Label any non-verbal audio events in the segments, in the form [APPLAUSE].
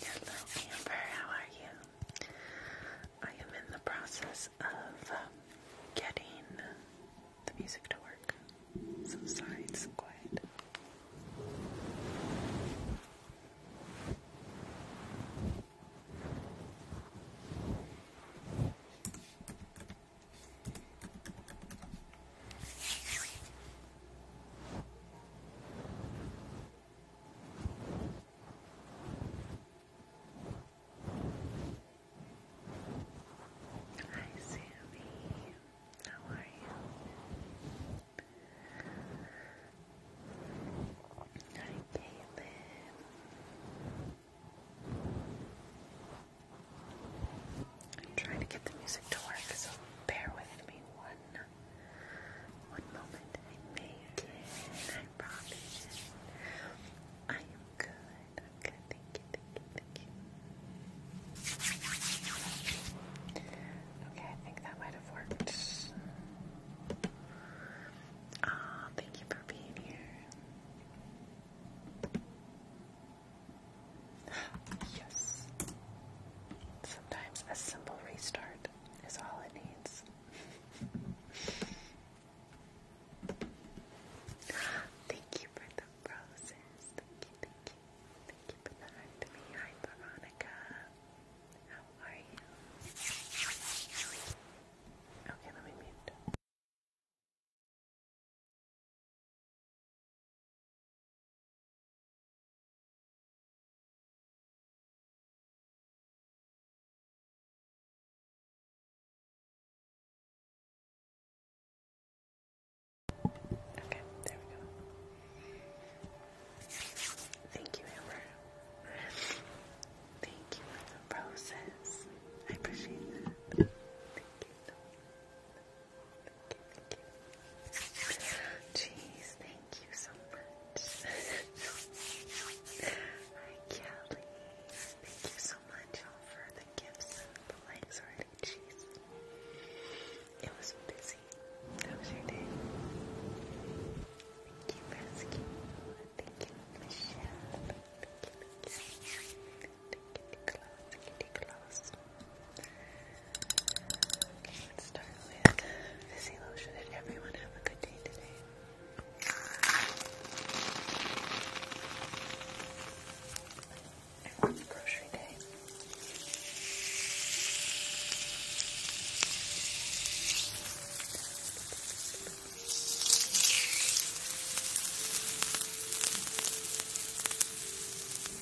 Hello, Amber. How are you? I am in the process of um, getting the music to work. So sorry, it's quiet. Hi, Sammy. How are you? Hi, Caitlin. I'm trying to get the music to work, so bear with me one one moment. I make it. I promise it. I am good. I'm good. Thank you. Thank you. Thank you. Okay, I think that might have worked. Ah, thank you for being here. Yes. Sometimes a simple restart is all it needs. thank you for the roses. Thank you, thank you. Thank you for the me. Hi, Veronica. How are you? Okay, let me mute. Okay, there we go. Thank you, Amber. Thank you for the roses. I appreciate that. Thank you so much. Jeez, thank you so much. [LAUGHS] Hi, Kelly. Thank you so much all for the gifts the likes already. Jeez. It was busy. How was your day? Thank you for Thank you, Michelle. Thank you, thank you. Thank you, Nicholas. Thank you, Nicholas. Okay, let's start with Fizzy Lotion. Did everyone have a good day today? I grocery day. Have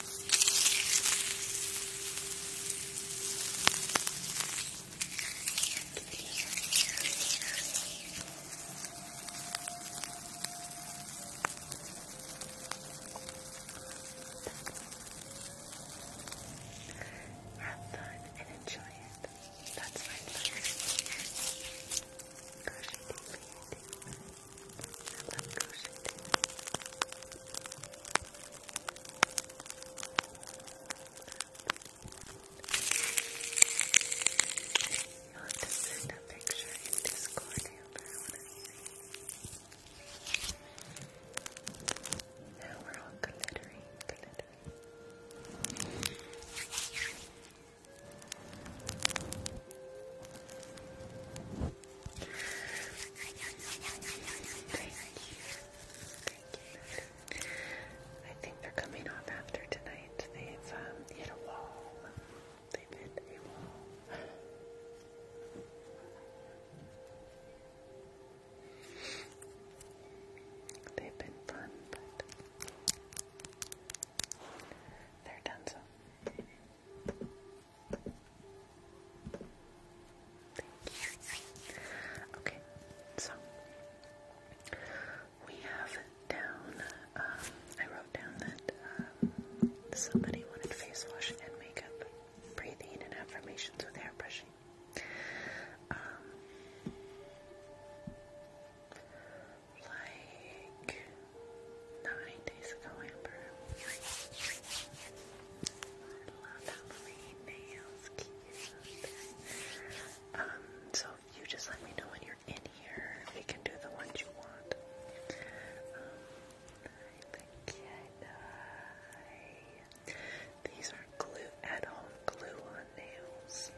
fun and enjoy it. That's my plan. I love crochet too. You'll have to send a picture in Discord Amber, I want to see. Now we're all glittering, glittering. I think they're coming off after tonight. They've um, hit a wall. They've hit a wall. They've been fun, but they're done so. Thank you. Okay, so we have down, uh, I wrote down that uh, somebody wanted face wash and makeup, breathing and affirmations with hair brushing. Um, like nine days ago, Amber so you just let me know when you're in here. We can do the ones you want. These are glue at all. glue on nails.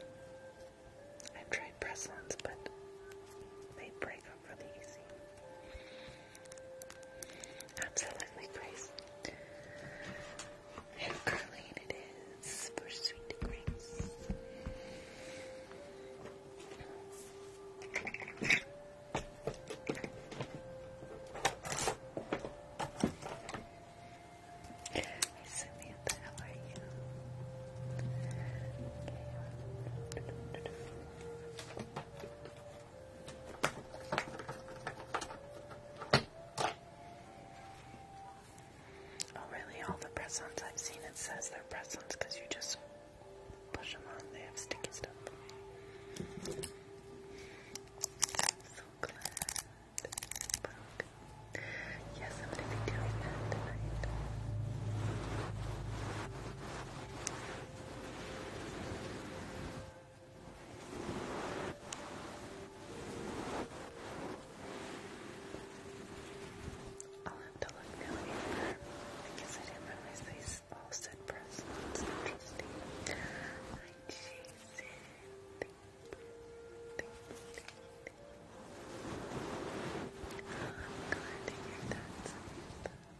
I've tried press-ons, but they break Absolutely crazy. And it is for sweet grace. Samantha, how are you? Oh, really? All the press ons I've seen, it says they're press ons because you just push them on, they have sticky stuff. Yes, I'm going to be doing that tonight. I'll have to look now either. I I didn't realize these all said press. That's interesting. Thank you. Oh,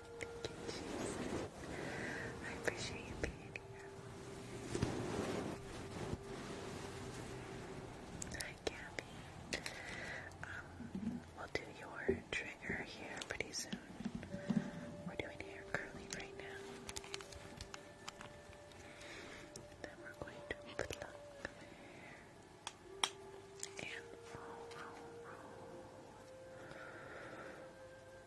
Thank you, Jesus. I appreciate you being here. Hi, um, we'll do your trigger here pretty soon. We're doing hair curling right now. Then we're going to pluck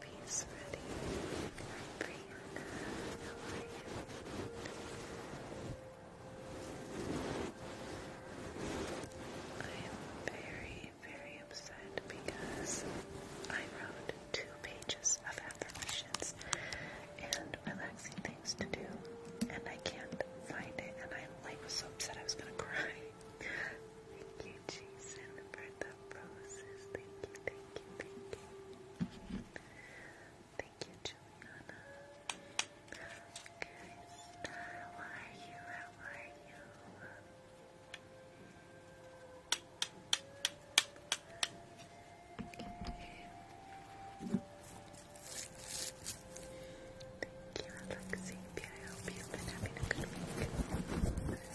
piece ready. I am very, very upset because I wrote two pages of affirmations and relaxing things to do, and I can't find it, and I'm like so upset I was gonna cry. [LAUGHS] Jason, for the roses. Thank you, thank you, thank you. Thank you, Juliana. Guys, how are you? How are you? Okay. Thank you, Alexia. I hope you've having a good week.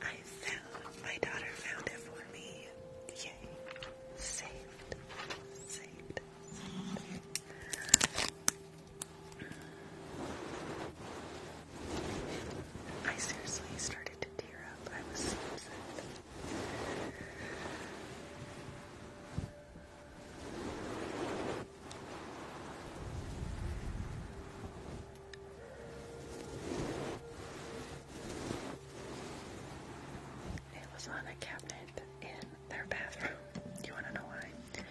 I found my daughter found it for me. Yay. Saved. Saved. I seriously started I was It was on a cabinet in their bathroom. You want to know why?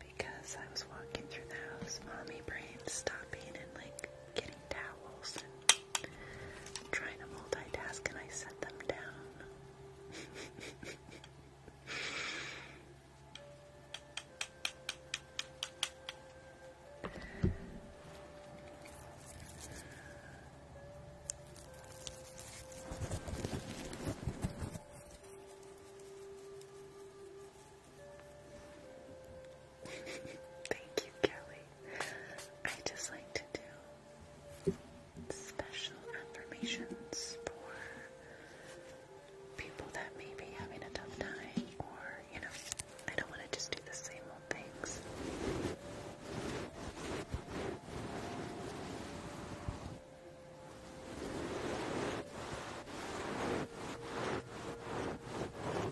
Because I was walking through the house, mommy brain stopping and like getting towels I'm trying to multitask and I set them down. [LAUGHS] Thank you, Kelly. I just like to do special affirmations for people that may be having a tough time, or, you know, I don't want to just do the same old things.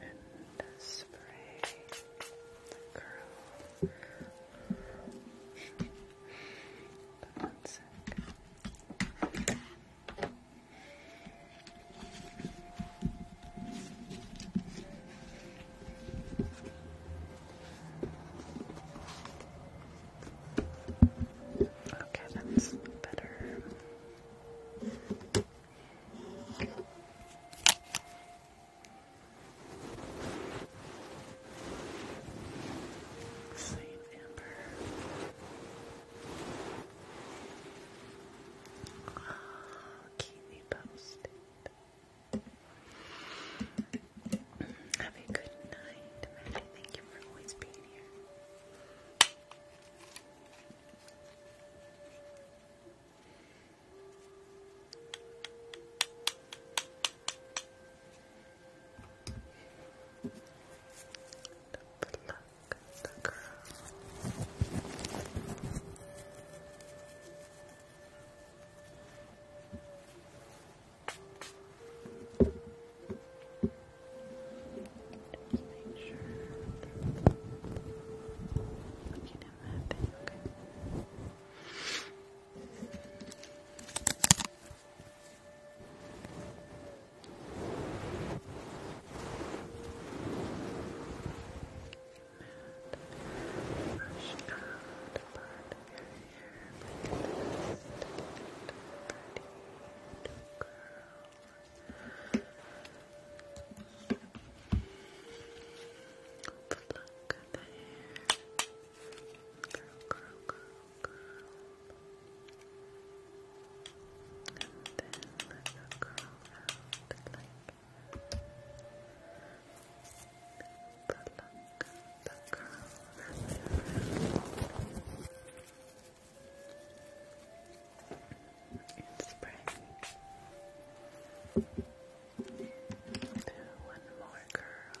And spray, curl. But one Okay, that's better. Saint Amber. Keep me posted. Have a good night, Maddie. Thank you for always being here. The plug Good Just make sure that you don't and brush out a part of your hair like to the hair. Curl, curl, curl, curl. And then let the curl out like pluck the curl wrap it spray do one more curl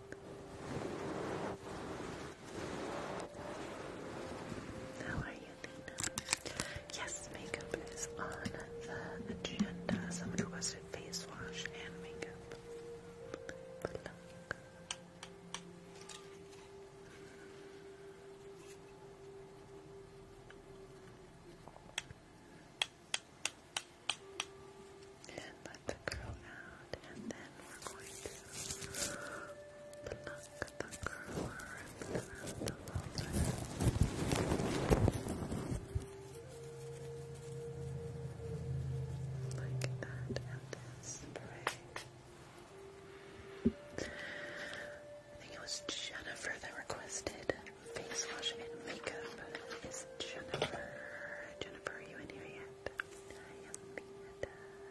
How are you, Dana? Yes, makeup is on the agenda. Someone requested face wash and makeup. But look. And the curl out, and then we're going to pluck the curl and around the folder. Like that, and then I think it was Jennifer that requested face wash and makeup. Is Jennifer? Jennifer, are you in here yet?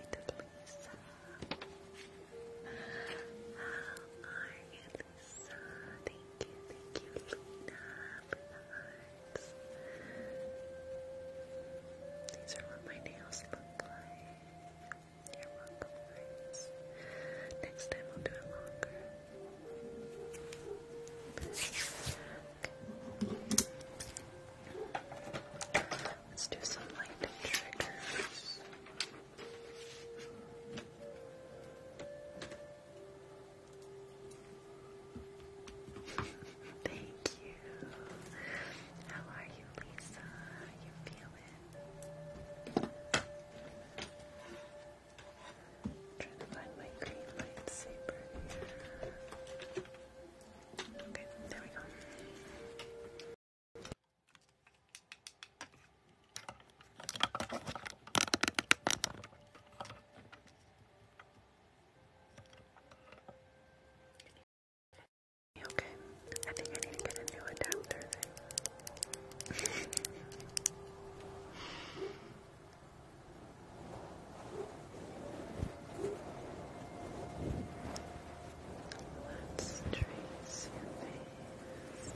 right, Lisa. How are you, Lisa? Thank you, thank you, Luna. These are what my nails look like. You're welcome, Next time I'll do it longer. Let's do some light triggers. Thank you. How are you, Lisa? you feeling? trying to find my green lightsaber here. Okay, there we go. Okay, I think I need to get a new adapter then. [LAUGHS] Let's trace your face.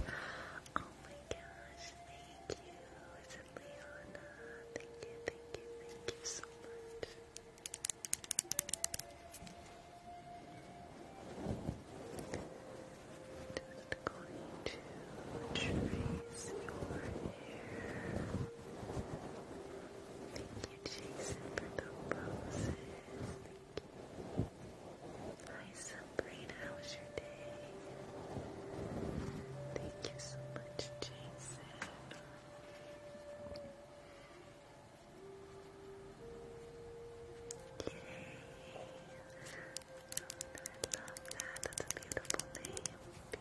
Oh my gosh, thank you. Is it Leona? Thank you, thank you, thank you so much. Just going to trace your hair. Thank you, Jason, for the roses. Thank you. Hi, Sabrina. How was your day? Thank you so much, Jason. Yay. I a beautiful name.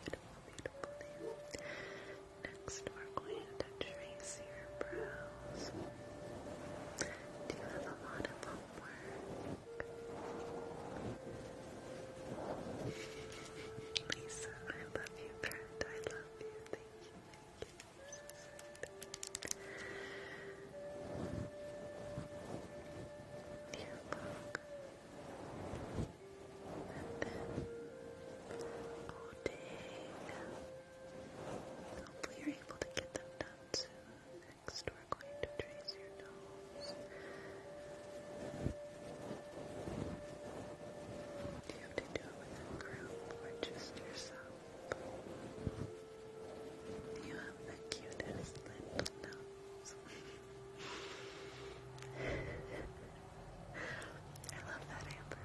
Beautiful, beautiful name. Next, we're going to trace your brows. Do a lot of homework? Lisa, I love you, friend. I love you. Thank you. Thank you. Your book. And then floating. Hopefully you're able to get them done soon. Next we're going to trace your nose. Do you have to do it with a group or just yourself? You have the cutest little nose. [LAUGHS] I love that, Amber.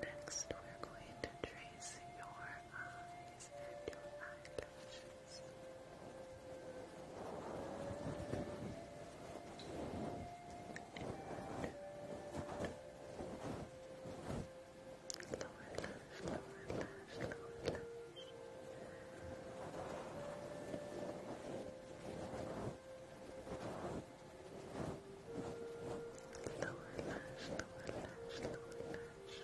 Next, we're going to trace your eyes your eyelashes. Lower lash, lower lash, lower lash.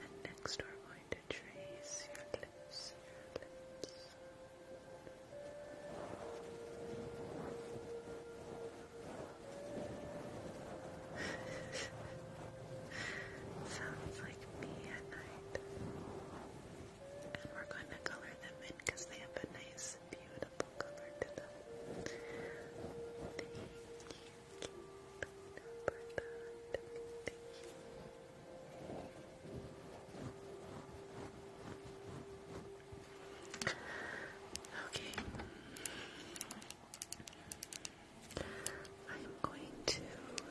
And next we're going to trace your lips, your lips. [LAUGHS] Sounds like me at night. And we're going to color them in because they have a nice a beautiful Thank you, for that. Thank you. Okay. I'm going to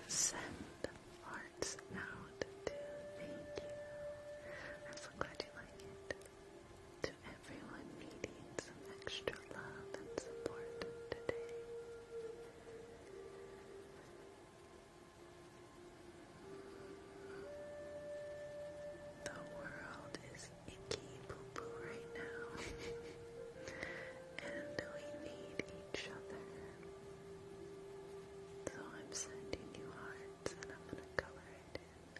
send hearts out to thank you. I'm so glad you like it to everyone needing some extra love and support today. The world is icky poo-poo right now, [LAUGHS] and we need each other. So I'm sending you hearts, and I'm gonna color it in.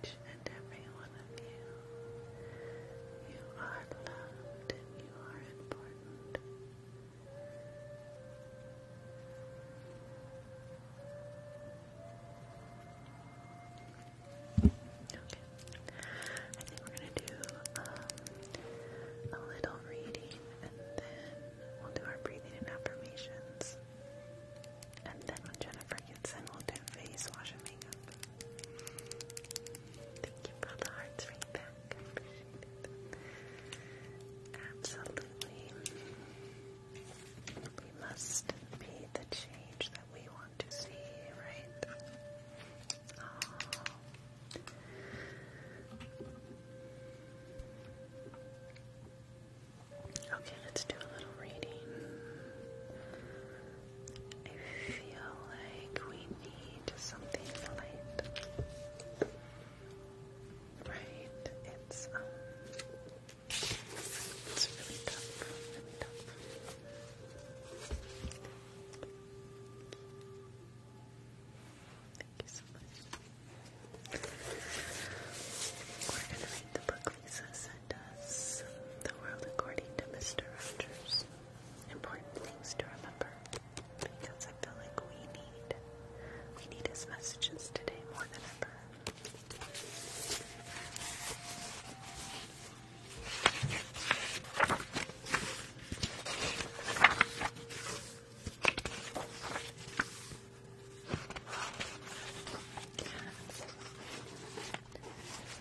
and every one of you. You are loved you are important. Okay. I think we're going to do um, a little reading and then we'll do our breathing and affirmations. And then when Jennifer gets in, we'll do face wash and makeup. Thank you for the hearts ring back. Absolutely. We must be the change that we want to see, right? Oh. Okay, let's do a little reading. I feel like we need something light. Right? It's um, really tough. Thank you so much. We're gonna read the book places and does the world according to Mr. Rogers. Important things to remember because I feel like we need we need his messages today more than ever.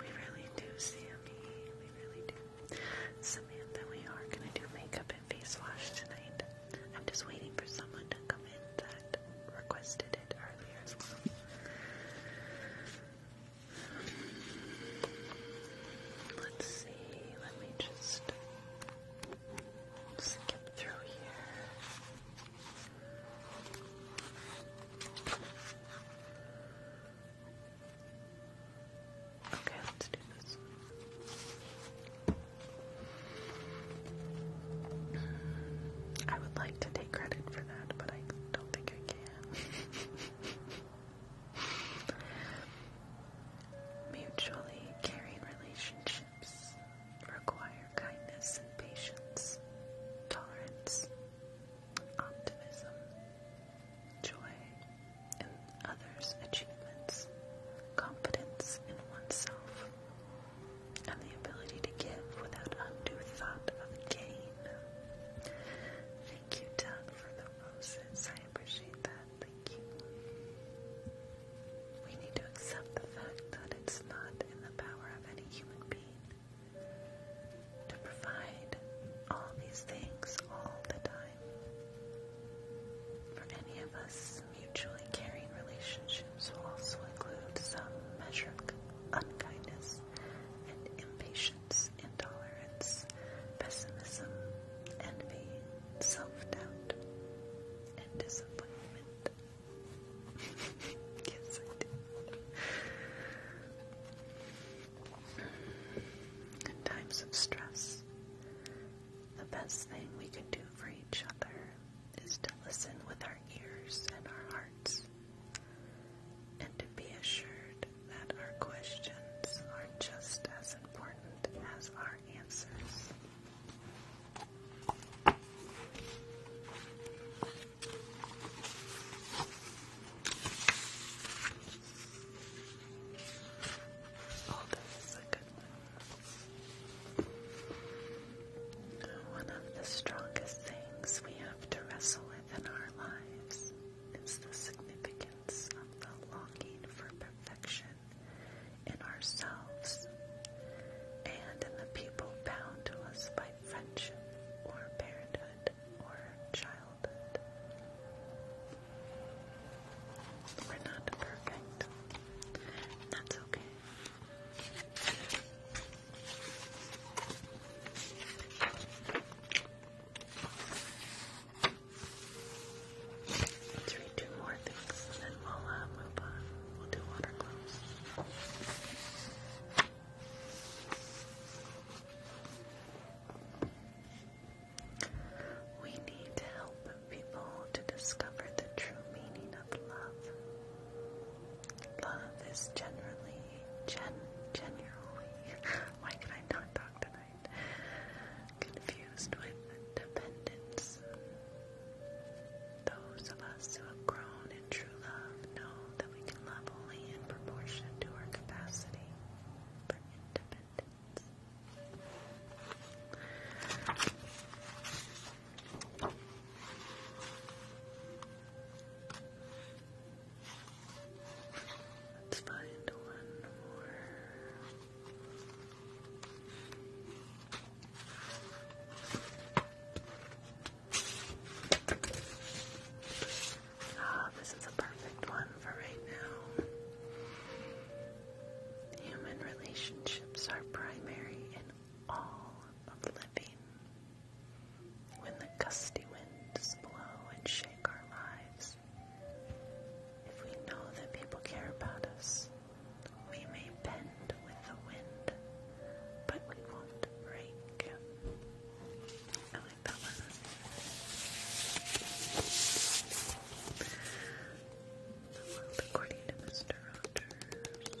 We really do, Sammy. We really do. Samantha, we are going to do makeup and face wash tonight. I'm just waiting for someone to come in that requested it earlier Let's see, let me just Okay, let's do this. I would like to take credit for that, but I don't think I can. [LAUGHS] Mutually caring relationship relationships require kindness and patience, tolerance, optimism, joy in others' achievements, confidence in oneself, and the ability to give without undue thought of gain. Thank you, Doug, for the roses. I appreciate that. We need to accept the fact that it's not in the power of any human being to provide all these things all the time. For any of us, mutually caring relationships will also include some measure of unkindness and impatience, intolerance, pessimism, envy, self doubt, and [LAUGHS] In times of stress, the best thing we can do for each other is to listen with our ears and our hearts, and to be assured that our questions are just as important as our answers. Oh, this a good One of the strongest things we have to wrestle with in our lives is the significance of the longing for perfection in ourselves and in the people bound to us by friendship or parenthood or childhood. We're not perfect. That's okay. Let's read two more things and then we'll uh, move on we need to help people to discover the true meaning of love. Love is generally, gen, generally, [LAUGHS] why can I not talk tonight? Confused with dependence. Those of us who have grown in true love know that we can love only in proportion to our capacity for independence. Let's find one more. Ah, this is a perfect one for right now. Human relationships are primary in all of living. When the gusty winds blow and shake our lives, if we know that people care about us, we may bend with the wind, but we won't break. I like that one. according to Mr. Rogers.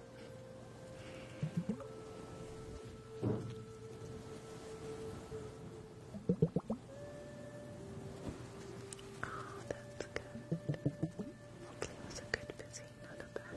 Oh, that's good. Hopefully it a good busy, not a bad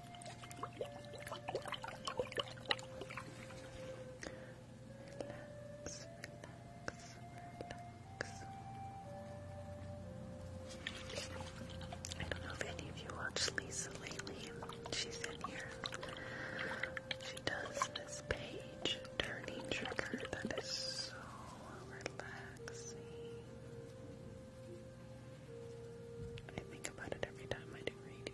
relax, relax. I don't know if any of you watched Lisa lately. She's in here. She does this page turning trick that is so relaxing. I think about it every time I do reading.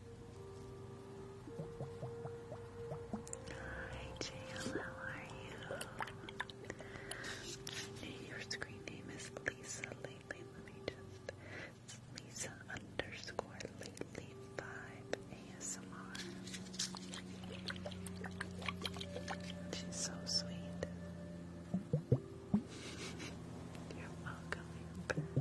Hi, Jam, how are you? Your screen name is Lisa Lately. Let me just. Lisa underscore Lately 5 ASMR. She's so sweet. You're welcome,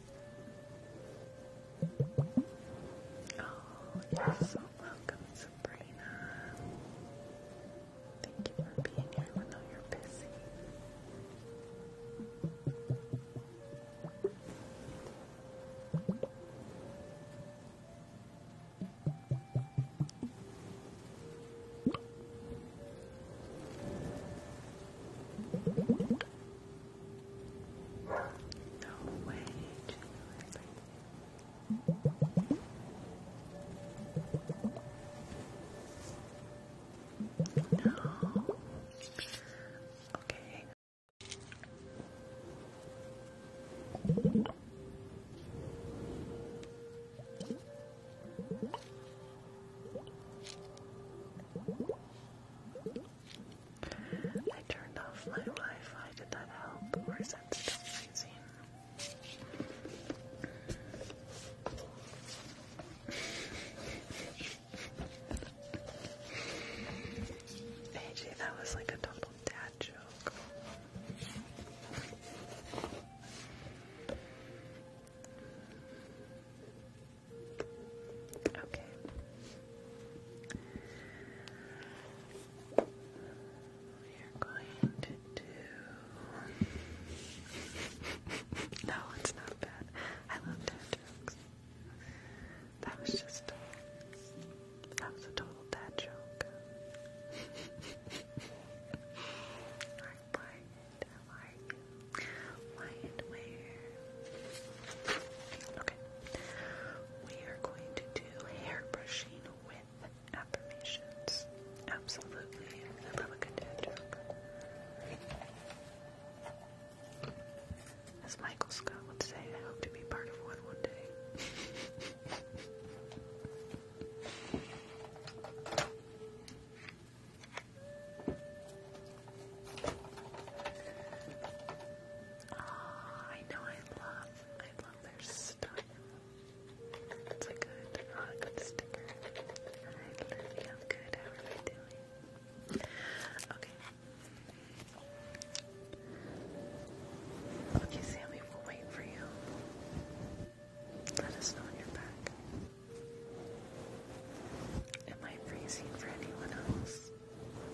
Oh, welcome, Sabrina. Thank you for being here even though you're busy. No way, Julie. No. Okay. I turned off my Wi-Fi. Did that help, or is that still freezing? hey, that was like a double dad joke. Okay. We're going to do. [LAUGHS] no, it's not bad. I love dad jokes. That was just. That was a total dad joke. I [LAUGHS] like Okay. We are going to do hair brushing with affirmations. Absolutely. I love a good dad joke. As Michael Scott would say, I hope to be part of one one day. [LAUGHS] Oh, I know I love, I love their style. It's a good, uh, good sticker. I love good. How are you doing? Okay. Okay, Sammy, we'll wait for you. Let us know when you're back. Am I freezing for anyone else? Turn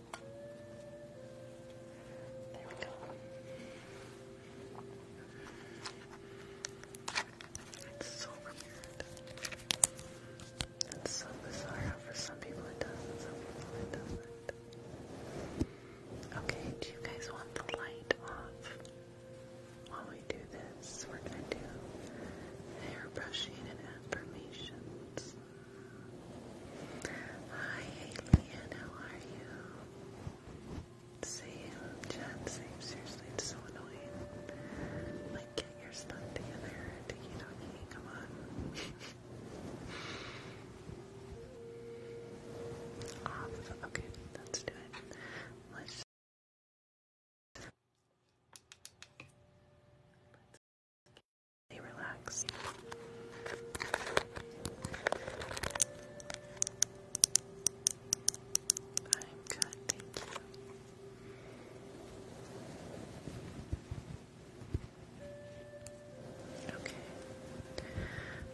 There we go. so weird. It's so bizarre. For some people it does, some people it doesn't. Okay, do you guys want the light off? While we do this, we're gonna do hair and affirmations. Hi, Haley how are you? Same, Jen, same. Seriously, it's so annoying. Like, get your stuff together, come on. [LAUGHS] Okay, let's do it. Let's Let's stay relaxed. I'm good, thank you. Okay,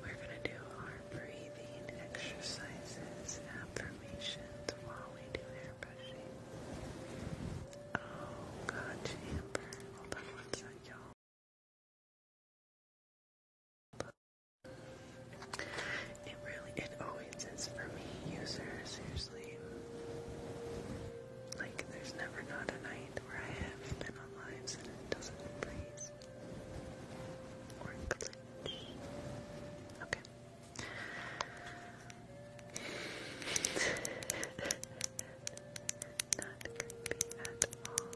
we're going to do our breathing exercises, affirmations while we do hair brushing. Oh, God, Amber. Hold on one sec, y'all. It really, it always is for me, user, seriously. Like, there's never not a night where I have been on lives and it doesn't freeze. Okay. [LAUGHS] Not creepy at all.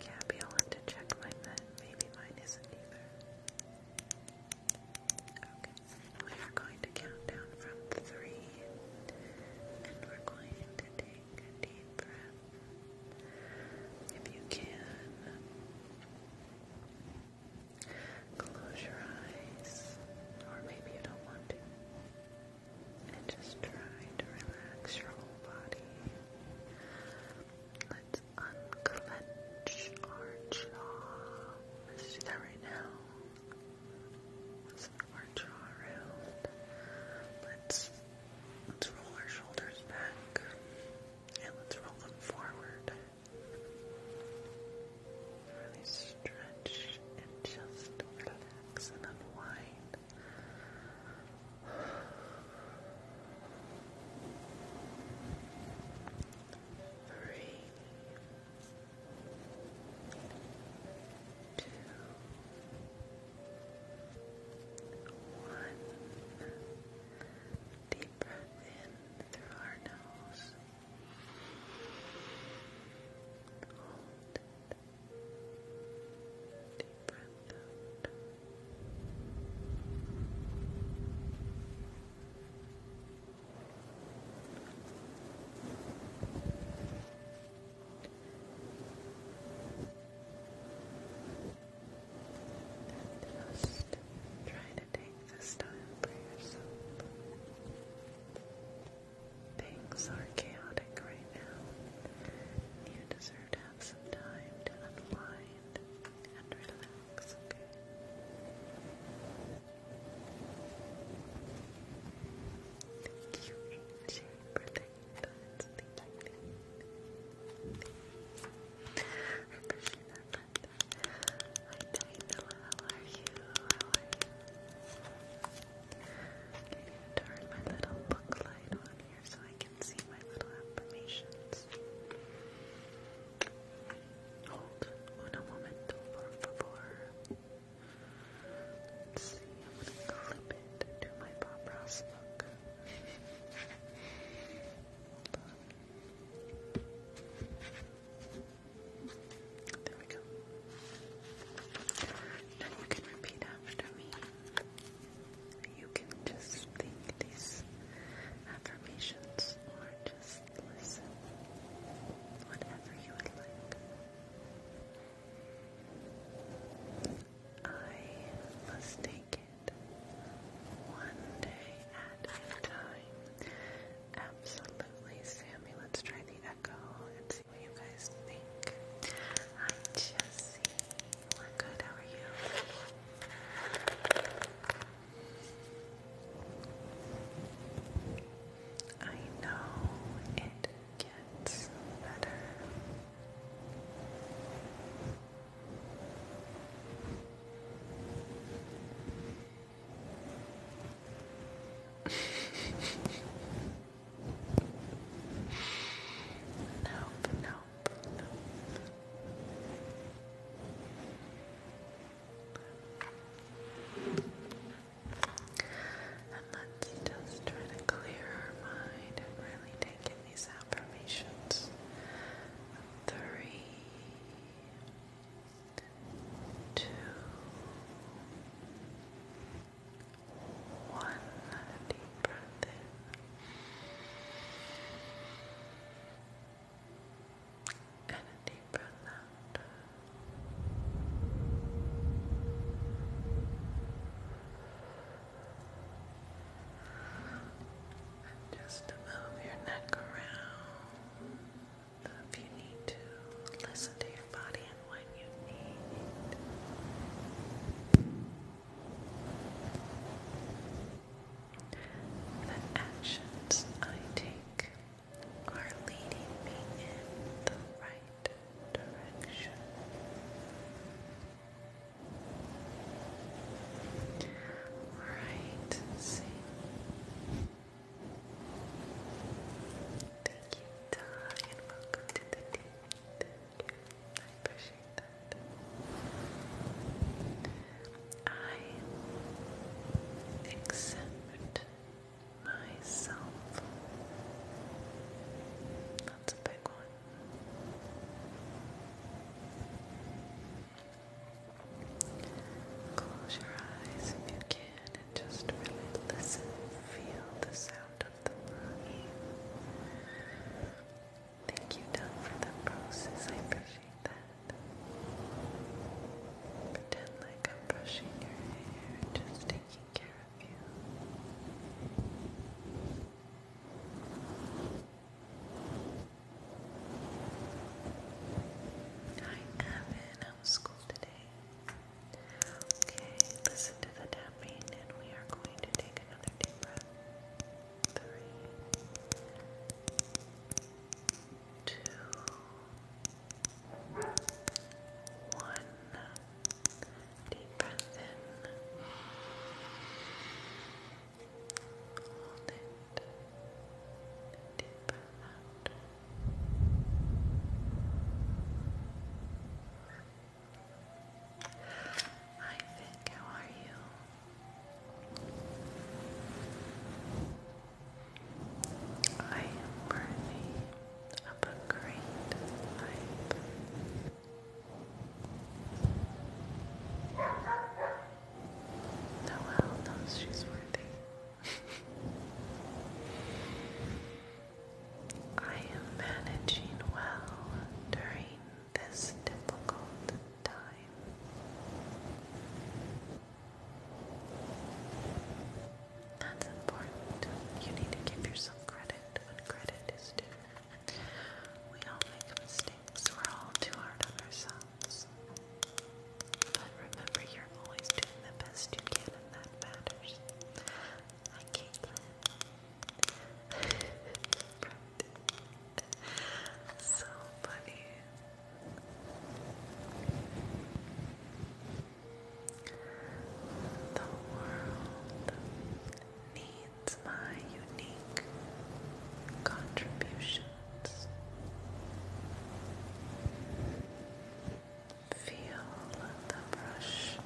Yeah, I'll to check mine Maybe mine isn't either. Okay, we are going to count down from three, and we're going to take a deep breath. If you can, close your eyes, or maybe you don't want to. And just try to relax your whole body. Let's unclench our jaw. Let's do that right now. Let's move our jaw Let's let's roll our shoulders back. And let's roll them forward. Really stretch and just relax and unwind. Three, two, one. Deep breath in through our nose. Hold it. Deep breath out. just try to take this time for yourself. Things are chaotic right now. You deserve to have some time to unwind and relax, Thank you, AJ, for the thoughts. Thank you, I appreciate that, Brenda. Hi, how are you? How are you? i turn my little book light on so I can see my little affirmations. Hold on a moment, por see, I'm going to clip it to my Bob Ross book. There we go. Now you can repeat after me. You can just think these affirmations or just listen, whatever you would like. I must take it one day at a time. Absolutely, Sammy. Let's try the echo and see see what you guys think. Hi, Jesse. We're oh good. How are you? I know it gets better. [LAUGHS] Nope, nope, nope. And let's just try to clear our mind and really take in these affirmations. Three, two, one deep breath in. And a deep breath out. just move your neck around if you need to listen to your body and when you need. The actions I take are leading me in the right direction. Alright, Thank you, Doug, welcome to the team. Thank you. I appreciate that. accept myself. That's a big one. Close your eyes if you can and just really listen. Feel the sound of the Thank you, Don, for the process. I appreciate that. Pretend like I'm brushing your hair, just taking care of you. Hi, Evan. How was school today? Okay, listen to the tapping, and we are going to take another deep breath three, two, one. Deep breath in. Hold it. Deep breath out. Hi, Vic, how are you? I am worthy of a great life. Noelle knows she's worthy. [LAUGHS] I am managing well during this difficult time. That's important. You need to give yourself credit when credit is due. We all make mistakes, we're all too hard on ourselves. But remember, you're always doing the best you can, and that matters. Hi, [LAUGHS] Caitlin. so funny. The world needs my unique contributions. Feel the brush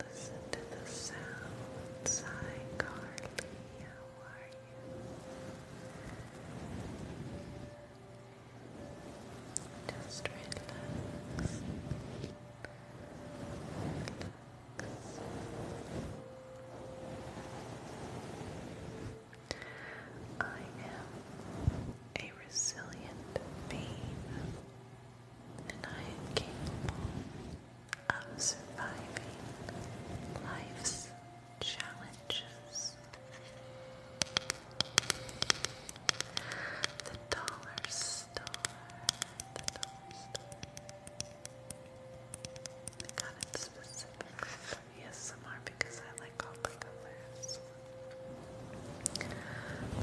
Listen to the sounds. Carly. How are you? Just relax. I am a resilient being and I am capable of surviving life's challenges. The dollar store, the dollar store. I got it specifically for ASMR because I like all the colors.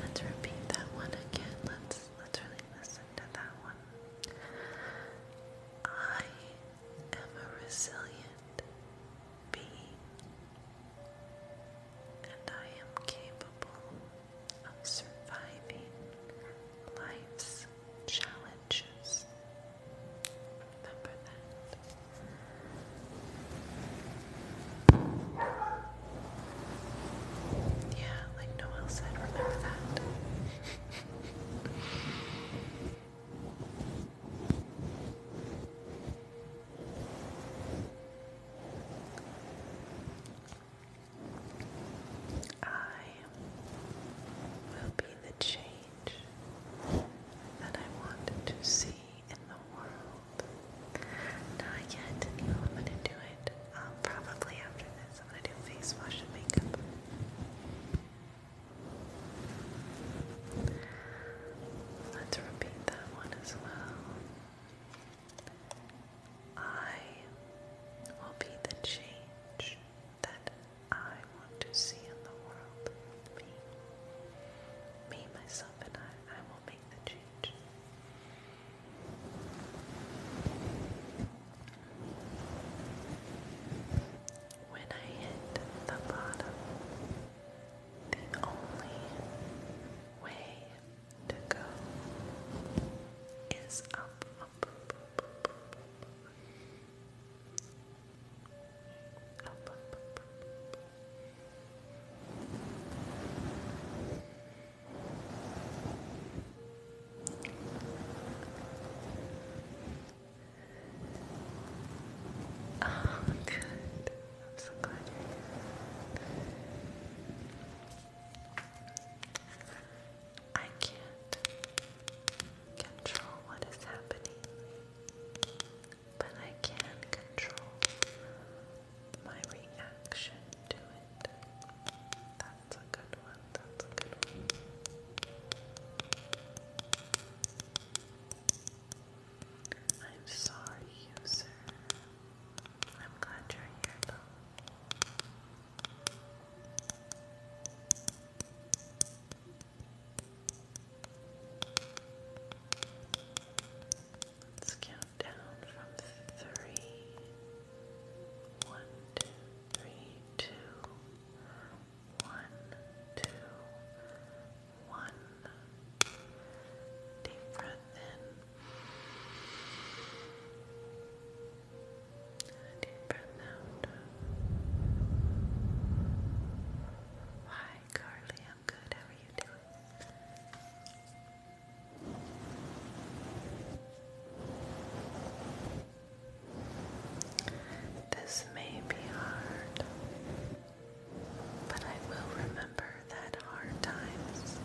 Let's repeat that one again. Let's let's really listen to that one. I am a resilient being and I am capable of surviving life's challenges. Remember that. Yeah, like Noel said, remember that. I will be the change that I want to see in the world. Not yet. I'm gonna do it um, probably after this. I'm gonna do face wash and makeup. Let's repeat that one as well. I will be the change that I want to see in the world. Me. Me, myself, and I. I will make the change. When I hit the bottom, the only way to go is up, up, up, up, up, up, up, up, up, up. Oh, good. I'm so glad you I can't control what is happening, but I can control my reaction to it. That's a good one. That's a good one. I'm sorry, user. I'm glad you're here, though. That's cute down from three. One, two, three, two. One, two, one. Deep breath in. deep breath out. Hi, Carly. I'm good. How are you doing? This may be hard, but I will remember that hard times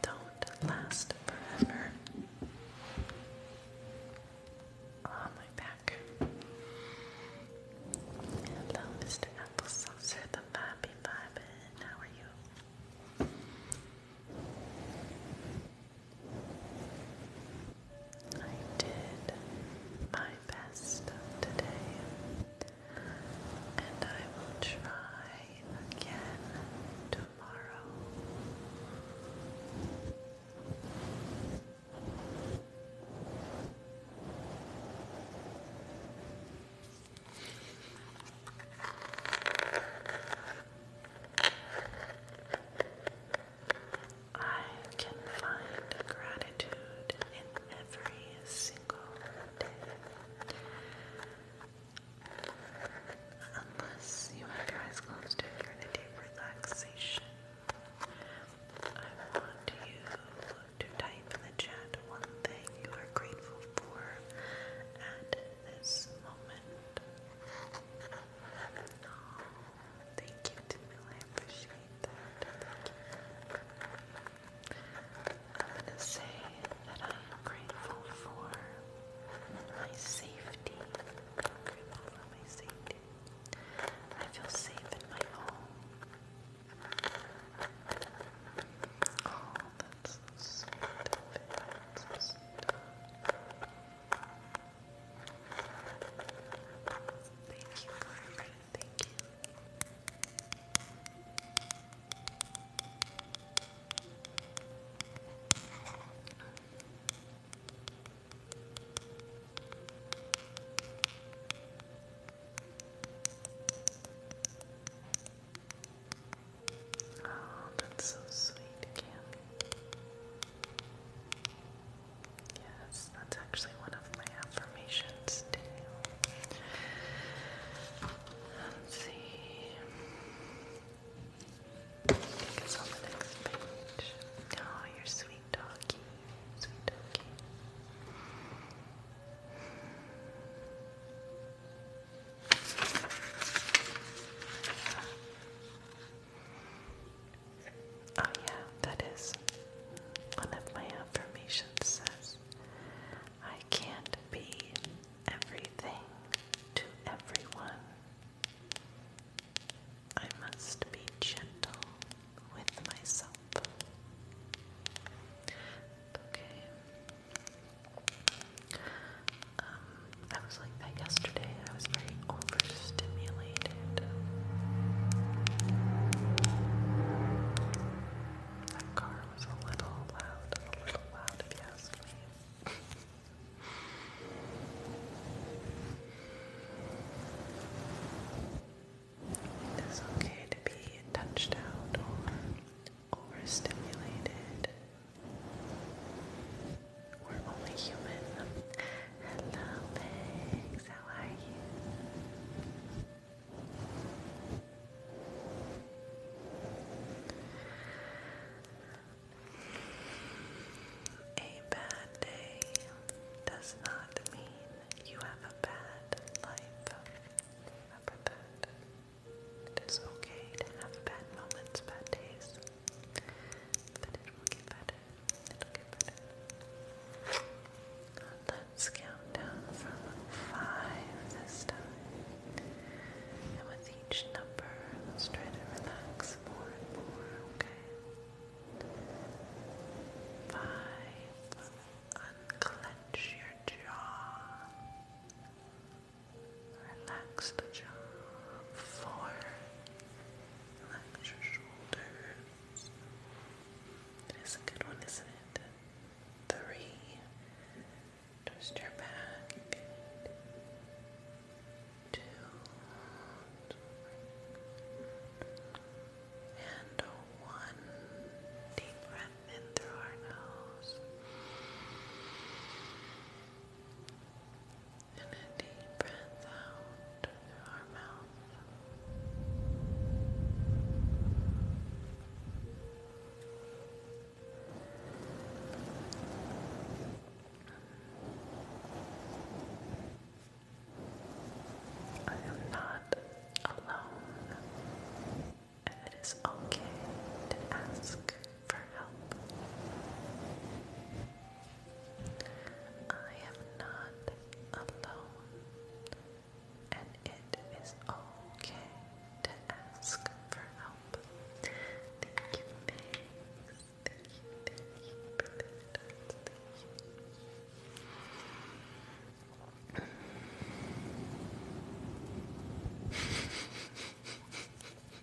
don't last forever. On my back. Hello, Mr. Applesaucer, the Bobby Bobbin. How are you? I did my best today, and I will try again tomorrow. I can find gratitude in every single day. Unless you have your eyes closed and you're in a deep relaxation, I want you to type in the chat one thing you are grateful for at this moment. thank you, Tamil. I appreciate that. I'm going to say that I am grateful for my safety. grateful for my safety. I feel safe in my home. Thank you, Margaret. Thank you. Oh, that's so sweet, Cammy. Yes, that's actually one of my affirmations too. Let's see. Take us on the next page. Oh, your sweet doggy. Sweet doggy. Oh, yeah, that is one of my affirmations says, I can't be everything to everyone. I must be gentle with myself. Okay. Um, I was like that yesterday. I was very overstimulated. That car was a little loud, a little loud if you ask me. [LAUGHS] It is okay to be touched out overstimulated. We're only human. Hello, Pigs. A bad day does not mean you have a bad life. Remember that. It is okay to have bad moments, bad days, but it will get better. It'll get better. Let's count down from five this time. And with each number, let's try to relax more and more, okay? Five. Unclench your jaw. Relax the jaw. Four. Relax your shoulders. That is a good one, isn't it? Three. Twist your back. Two. And one. Deep breath in through our nose and a deep breath out through our mouth. I am not alone, and it is okay to ask for help. I am not alone, and it is okay to ask for help. Thank you, thank you.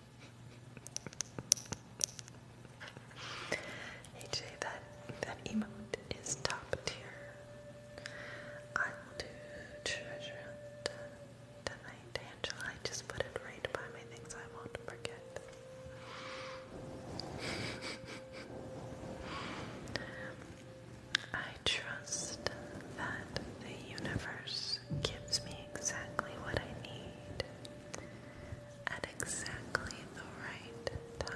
[LAUGHS] AJ, that that emote is top tier. I will do treasure uh, tonight, Angela. I just put it right by my things I won't forget. [LAUGHS] I trust that the universe gives me exactly what I need at exactly the right time.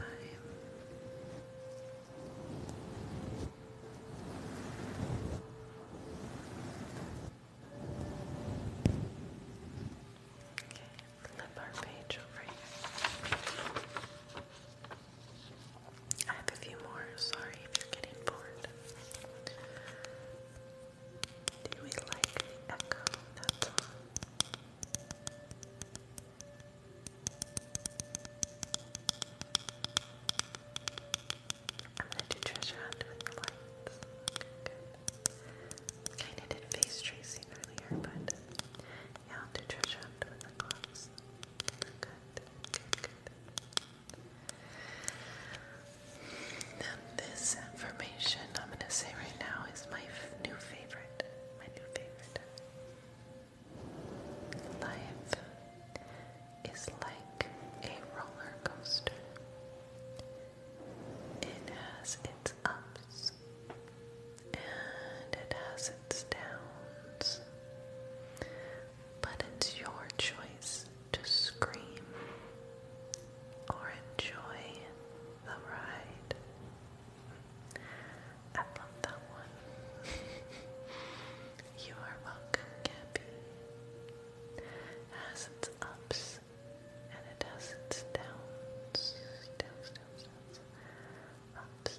Okay, flip our page over here. I have a few more. Sorry if you're getting bored. Do we like the echo that's on? I'm gonna do treasure hunt with the lights. Okay, good. of did face tracing earlier, but yeah, I'll do treasure hunt with the gloves. Good, good, good. Now, this information I'm going to say right now is my new favorite. My new favorite. Life is like a roller coaster. It has its ups and it has its downs. But it's your choice to scream or enjoy the ride. I love that one. [LAUGHS] you are welcome, Cappy. It ups and it has its downs. Ups and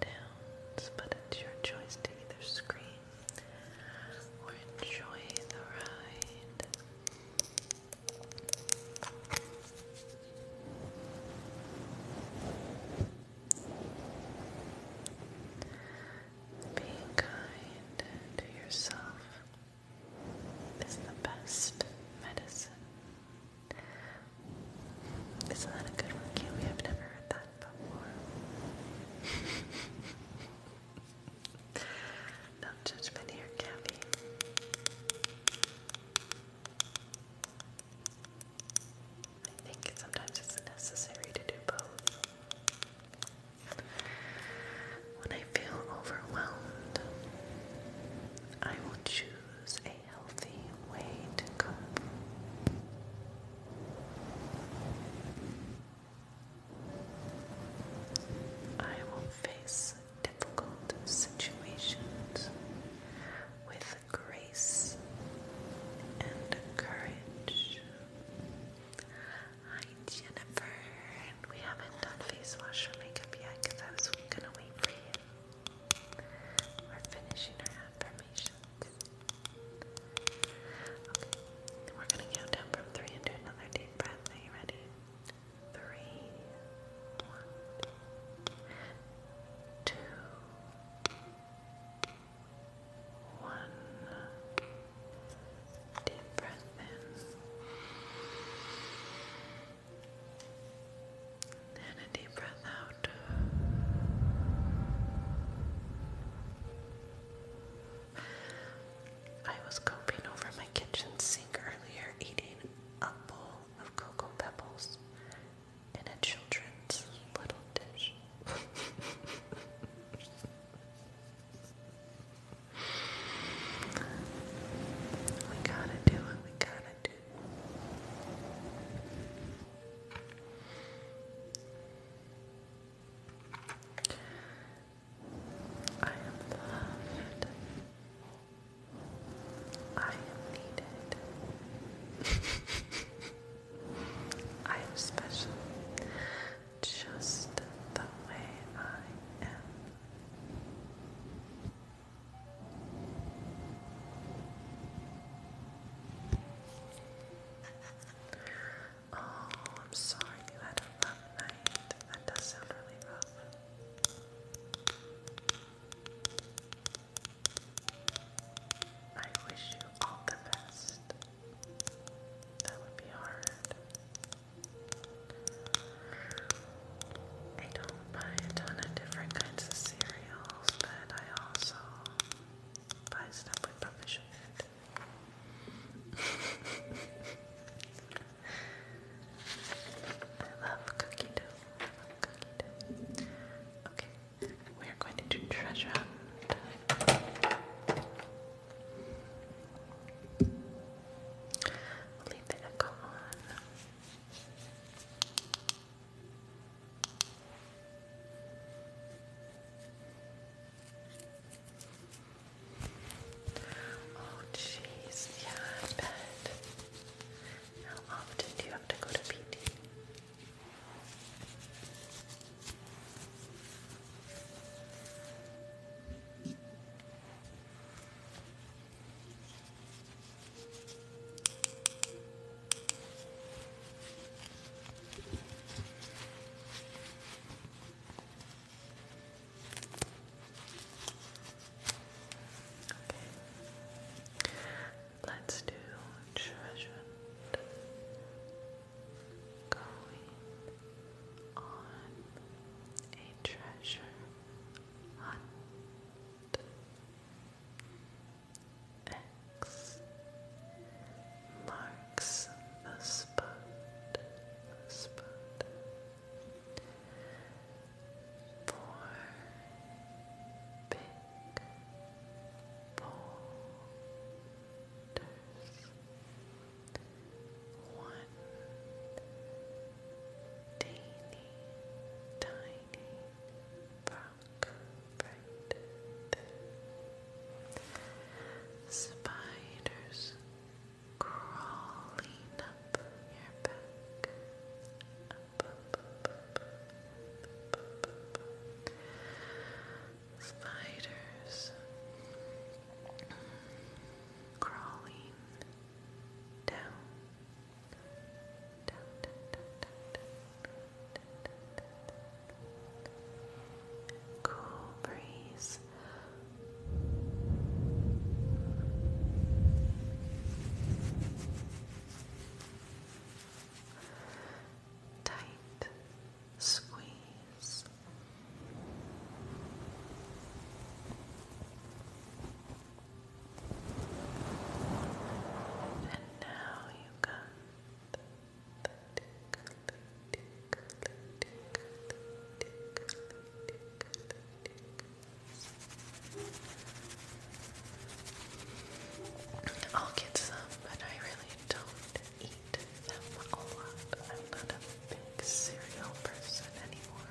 downs. But it's your choice to either scream we're enjoying the ride. Being kind to yourself is the best medicine. Isn't that a good one? We have never heard before. [LAUGHS] no judgment here, Gabby. I think sometimes it's necessary to do both. When I feel overwhelmed, I will choose a healthy way to cope. I will face difficult situations with grace and courage. Hi, Jennifer. We haven't done face wash or makeup yet because I was gonna wait for you. We're finishing our affirmations. Okay, we're gonna count down from three and do another deep breath. Are you ready? Three, one, two, one. Deep breath in. And a deep breath out. I was coping over my kitchen sink earlier, eating a bowl of cocoa pebbles in a children's little dish. [LAUGHS] we gotta do it, we gotta do I am loved. I am needed. I am special. Just the way I am. Oh, I'm sorry you had a rough night. That does sound really rough. I wish you all the best. That would be hard. I don't buy a ton of different kinds of cereals, but I also buy stuff we probably I love cookie dough. cookie dough. Okay, we are going to do treasure hunt. We'll leave the echo on. Oh, jeez. Yeah, How often do you have to go to PT? Let's do treasured going on a treasure hunt. X marks the spot, for big boulders. One teeny tiny rock Spiders crawling up your back. Spiders crawling down cool breeze. Tight squeeze. And now you got I'll get some, but I really don't eat them a lot. I'm not a big cereal person anymore.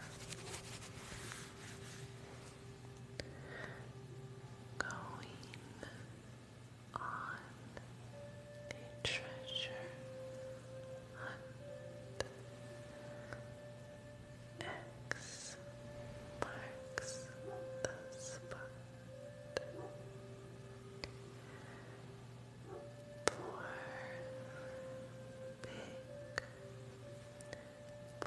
Going on a treasure hunt. X marks the spot. Four big boulders.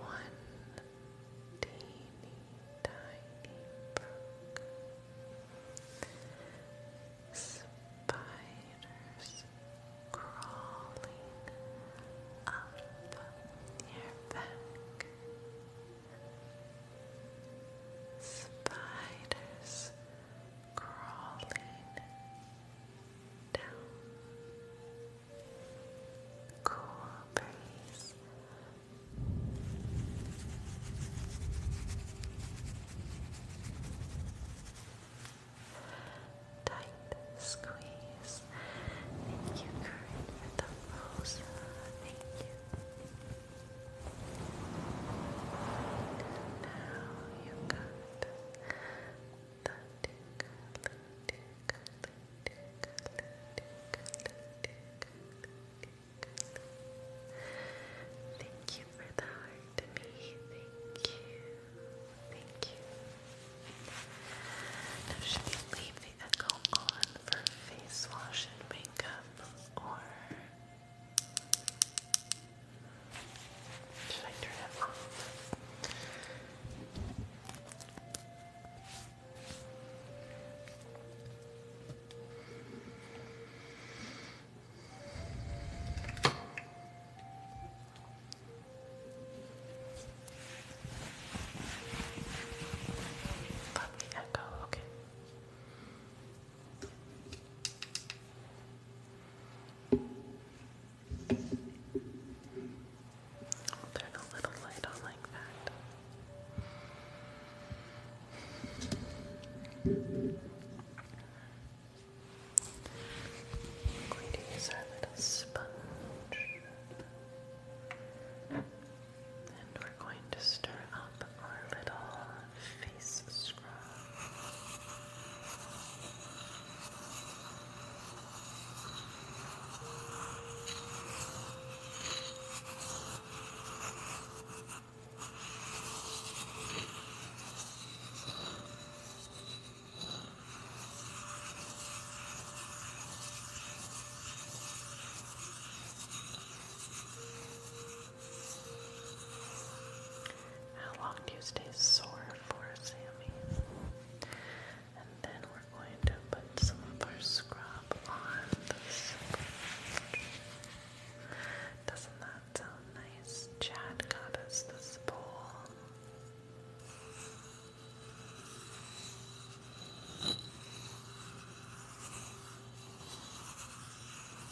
One teeny tiny brook. Spiders crawling up your back. Spiders crawling down cool breeze. Tight squeeze. Thank you, for the rose. Thank you. Now you got the tickle, tickle, Thank you for the heart to me. Thank you. Thank you. Now should we leave the echo on for face wash and makeup or should I turn it off? Lovely echo, okay. I'll turn a little light on like that. i use our little sponge. And we're going to stir up our little face scrub. How long do you stay sore for, Sammy? And then we're going to put some of our scrub on the sponge. Doesn't that sound nice? Chad got us this bowl.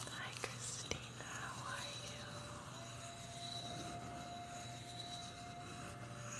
Hi Christina, how are you?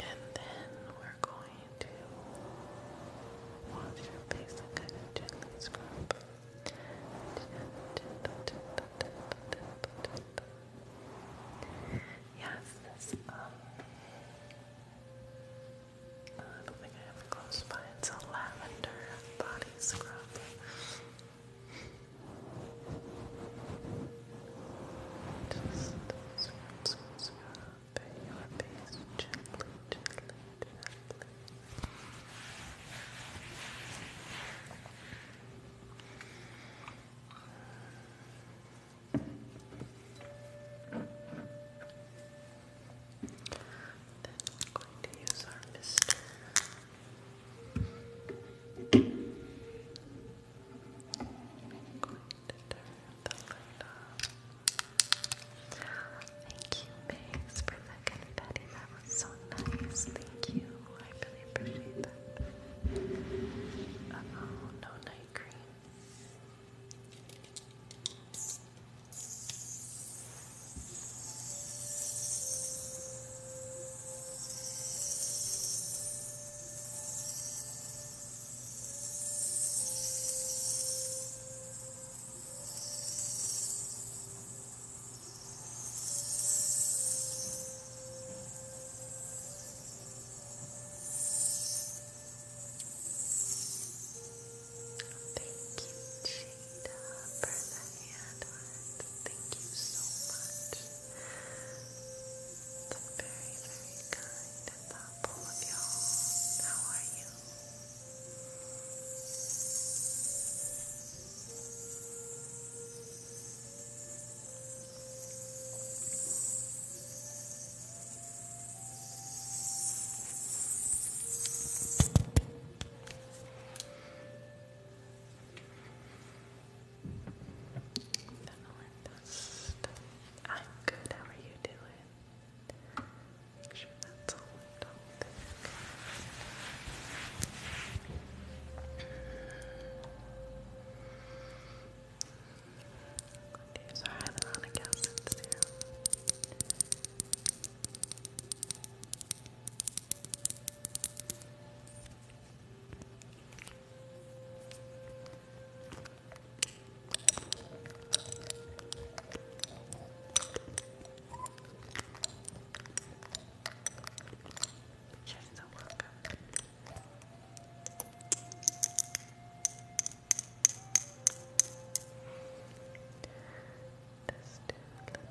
And then we're going to wash your face and kind of scrub. Yes, this, um, I don't think I have close by. It's a lavender body scrub. Just swirl, swirl, swirl over your face gently, gently, Then we're going to use our mister. Thank you, Maze, for that confetti. That was so nice. Thank you. I really appreciate that. oh, no night cream. Thank you, Jada, for the hand Thank you so much. Been very, very kind and thoughtful of y'all. How are you? Fennelin I'm good. How are you doing? Make sure that's all lit These are hyaluronic acid serum. You're so welcome. Let's do a little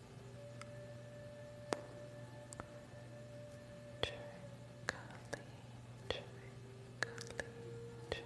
Trickly, trickly, trickly, trickly. Good.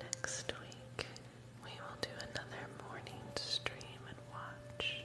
Next week, we will do another morning stream and watch.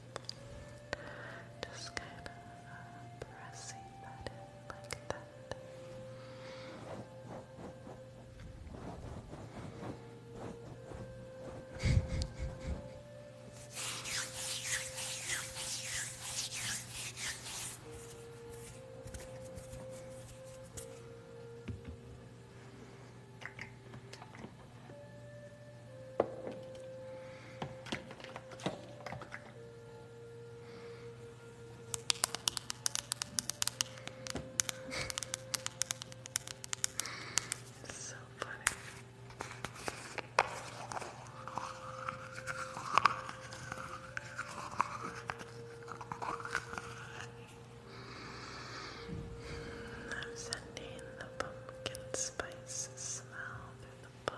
just kind of pressing that in like that. [LAUGHS] so funny. I'm sending the pumpkin spice smell through the bone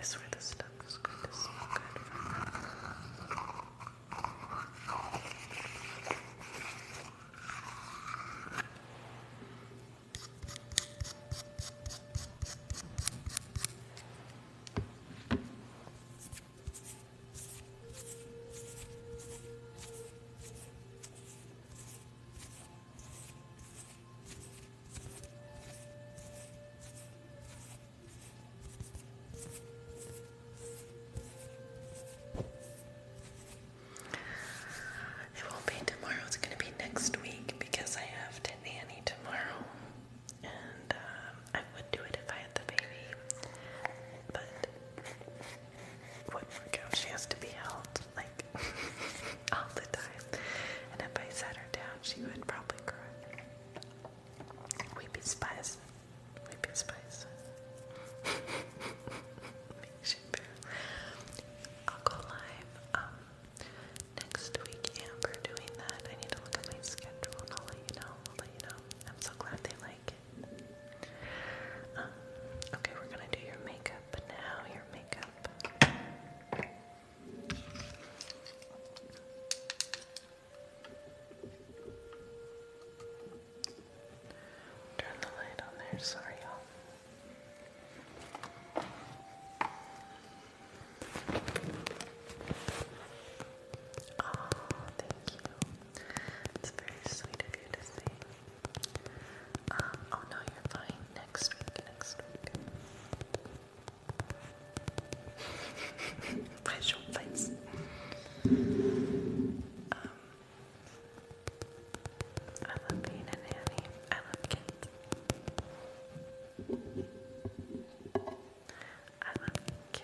is where the stuff is going to smell good it won't be tomorrow, it's going to be next week because I have to tomorrow. And um, I would do it if I had the baby. But what workout? She has to be held like [LAUGHS] all the time. And if I sat her down, she would probably cry. Weepy Spice. Weepy Spice. [LAUGHS] I'll go live um, next week, Amber, doing that. I need to look at my schedule and I'll let you know. I'll let you know. I'm so glad they like it. Um, okay, we're gonna do your makeup now. Your makeup. Turn the light on there, sorry y'all. Oh, thank you. It's very sweet of you to say. Um, oh no, you're fine next week next week. [LAUGHS] face. Um, I love being a nanny. I love kids. I love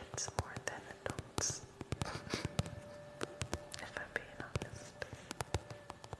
kids more than adults. [LAUGHS] if I'm being honest.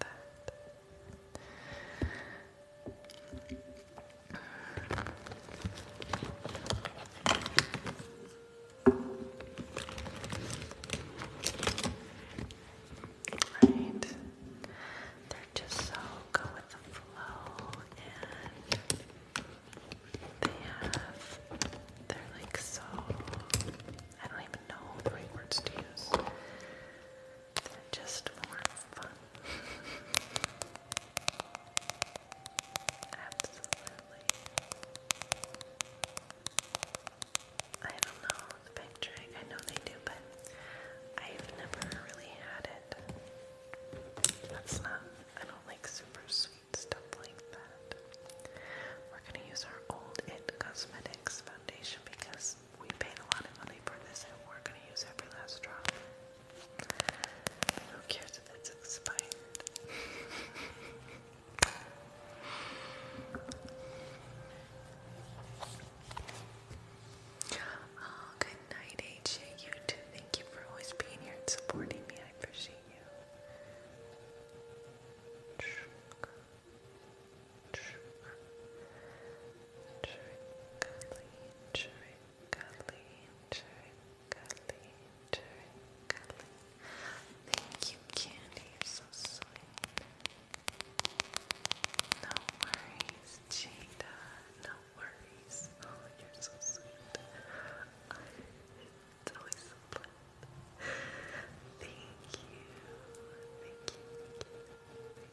that. Right. They're just so go with the flow and they have, they're like so, I don't even know the right words to use just more fun. [LAUGHS] Absolutely. I don't know the bank I know they do, but I've never really had it. That's not, I don't like super sweet stuff like that. We're gonna use our old It Cosmetics foundation because we paid a lot of money for this and we're gonna use every last drop. Who cares if it's expired? [LAUGHS] Oh, good night, AJ. Thank you for always being here and supporting me. I appreciate you. Thank you, Candy. You're so sweet. No worries, Jada. No worries. Oh, you're so sweet. It's always so fun. Thank you. Thank you. Thank you.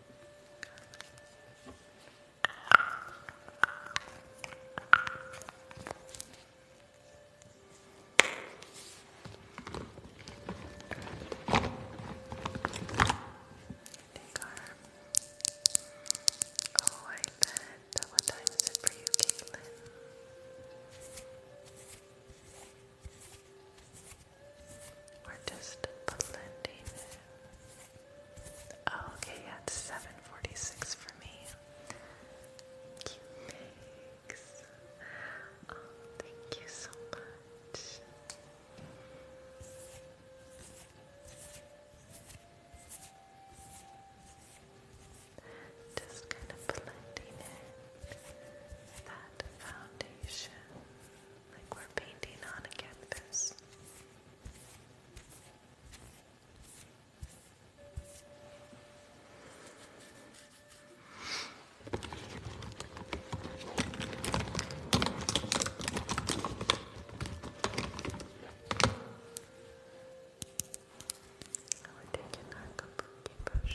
Take Oh, I bet. What time is it for you, Caitlin? We're just blending oh, okay, yeah, it's 746 for me. Cute Oh, thank you so much. Just kind of blending in that foundation like we're painting on a canvas. Now we're taking our kabuki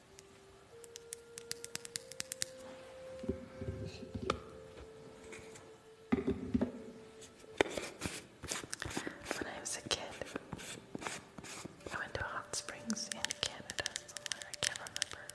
When I was a kid, I went to hot springs in Canada somewhere, I can't remember.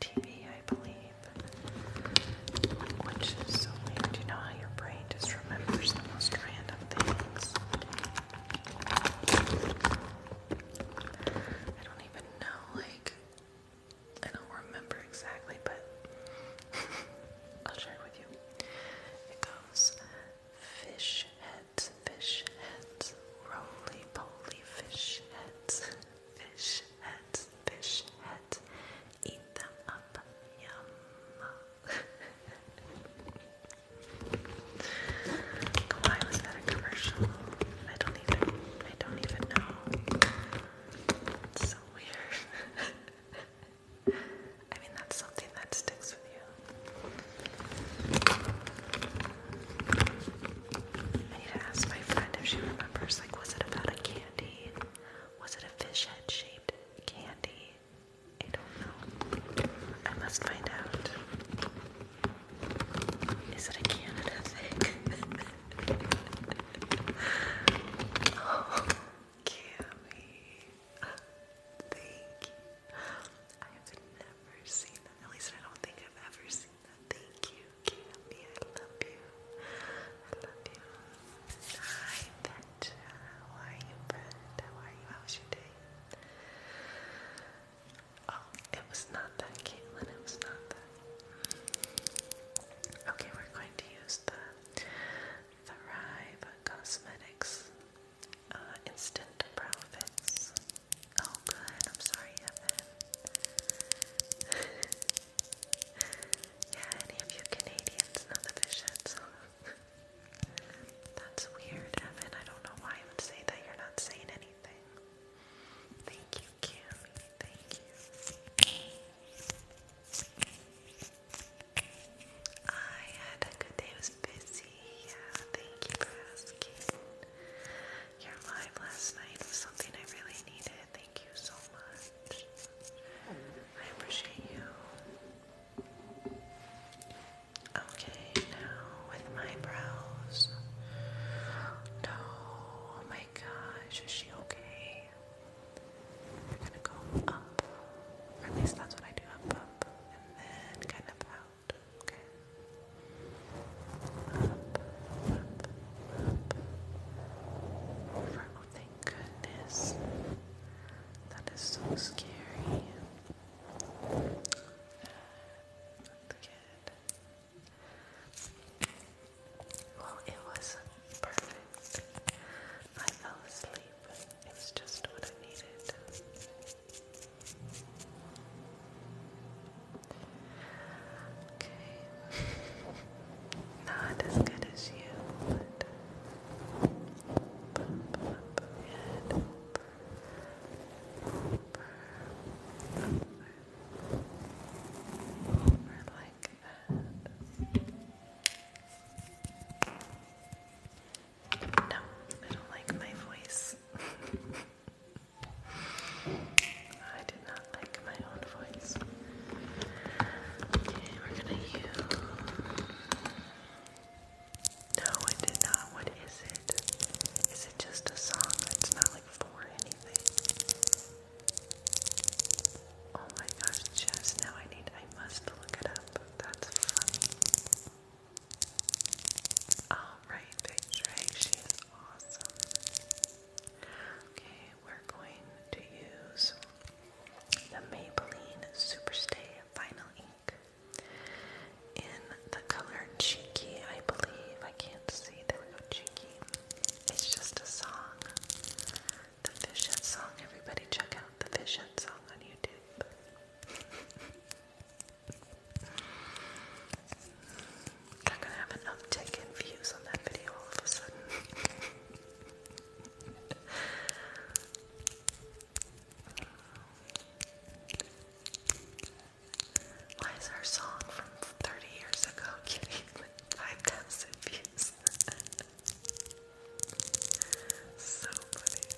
TV, I believe, which is so weird. You know how your brain just remembers the most random things? I don't even know, like, I don't remember exactly, but [LAUGHS] I'll share it with you. It goes fish heads, fish heads, roly poly fish heads, [LAUGHS] fish fish fish head Eat them up. Yum. Why was that a commercial? I don't even I don't even know. It's so weird. [LAUGHS] I mean that's something that sticks with you. I need to ask my friend if she remembers like was it about a candy was it a fish head shaped candy? I don't know. I must find out. Is it a Canada thing? oh, [LAUGHS] Cammy. thank you. I have never seen that. At least I don't think I've ever seen that. Thank you. Candy, I love you. I love you. Hi, Petra. How are you, friend? How are you? How's your day? Oh, it was not that, Caitlin. It was not that. Okay, we're going to use the Thrive Cosmetics uh, Instant Profits. Oh, good. I'm sorry, Evan. [LAUGHS] Yeah, any of you Canadians know the Bishops? That's weird, Evan. I don't know why I would say that. You're not saying anything. Thank you, Cammy. Thank you. I had a good day. was busy. Yeah, thank you for asking. Your live last night was something I really needed. Thank you so much. I appreciate you. Okay, now with my brows. No, oh my gosh, is she okay? We're gonna go up, at least that's what I do up, up, and then kind of out. Okay. Up, thank goodness. That is so scary. That's good. Well, it was perfect. I fell asleep. It just what I needed. Okay. Not as good as you, but like that. No, I don't like my voice. I no, I did not. What is it? Is it just a song? It's not like for anything. Oh my gosh, Jess, now I need, I must look it up. That's funny. Alright, picture, right? She is awesome. Okay, we're going to use the Maybelline Superstay Final Ink in the color Cheeky, I believe. I can't see. There Cheeky. It's just a song. The Fish song. Everybody check out the Fish song on YouTube. I'm [LAUGHS] gonna have an uptick in views on that video all of a sudden. Why is our song from 30 years ago [LAUGHS] getting 5,000 views? [LAUGHS] so funny.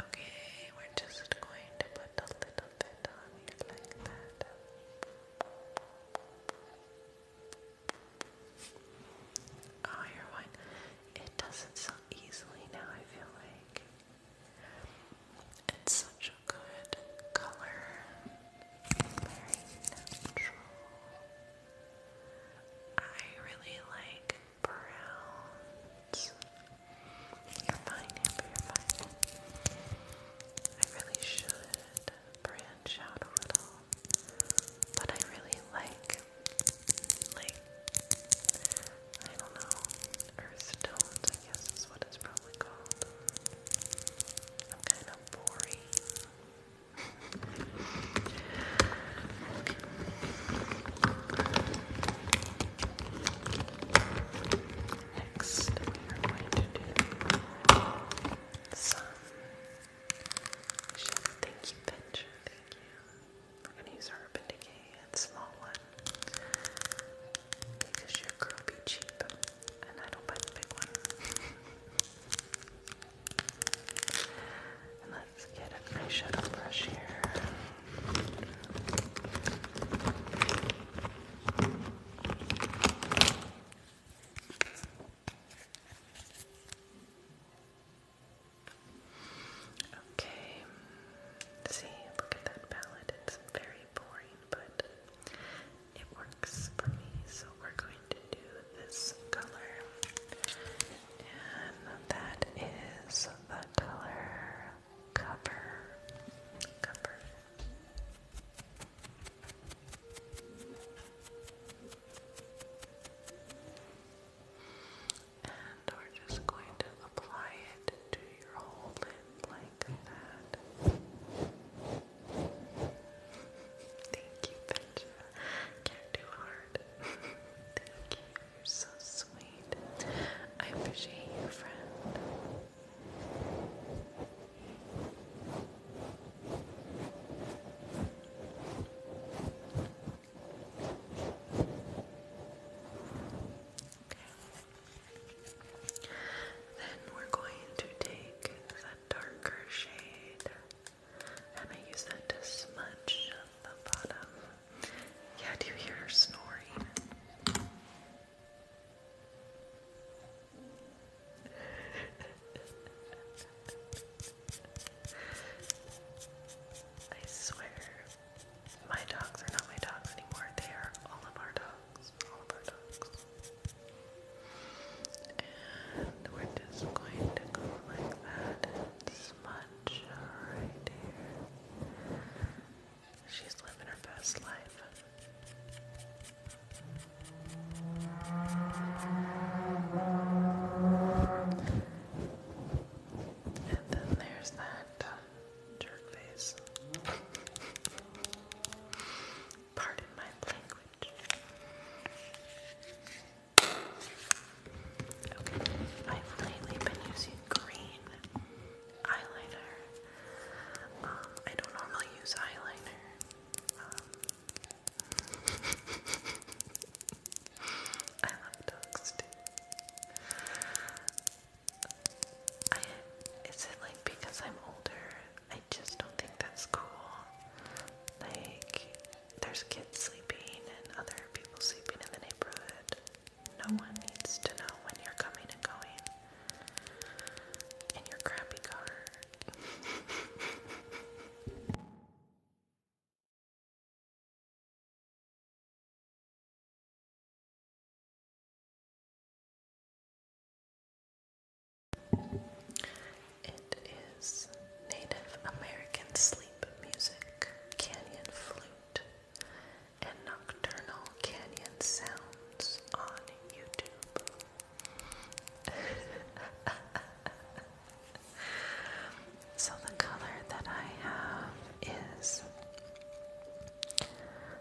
Okay, we're just going to put a little bit on you like that. Oh, you're one. It doesn't so easily now, I feel like. It's such a good color. Very natural. I really like browns. You're fine, you're fine. I really should branch out a little, but I really like, like, I don't know, earth I guess is what it's probably called. I'm kind of boring. [LAUGHS] Next, we are going to do some shape. Thank you, Thank you. We're going to use our Urban and Small One because your girl be cheap and I don't buy the big one. [LAUGHS] Let's get a fresh shadow brush here. Okay. See, look at that palette. It's very boring, but it works for me. So we're going to do this color. And um, that is the color cover. Cover. And we're just going to apply it to your whole lid like that. Thank you, Benja. Can't do hard. [LAUGHS] Thank you so sweet. I appreciate you, friend. Then we're going to take that darker shade and I use that to smudge the bottom yeah, do you hear her snoring? I swear, my dogs are not my dogs anymore. They are all of our dogs. All of our dogs. And we're just going to go like that She's living her best life. And then there's that uh, jerk face. [LAUGHS] Pardon my language. Okay, I've lately been using green eyeliner. Um, I don't normally use eyeliner. Um, [LAUGHS] I love dogs is it like because I'm older? I just don't think that's cool. Like, there's kids sleeping and other people sleeping in the neighborhood. No one needs to know when you're coming and going in your crappy car. It is Native American sleep music, canyon flute, and Nocturnal Canyon Sounds on YouTube. [LAUGHS] so the color that I have is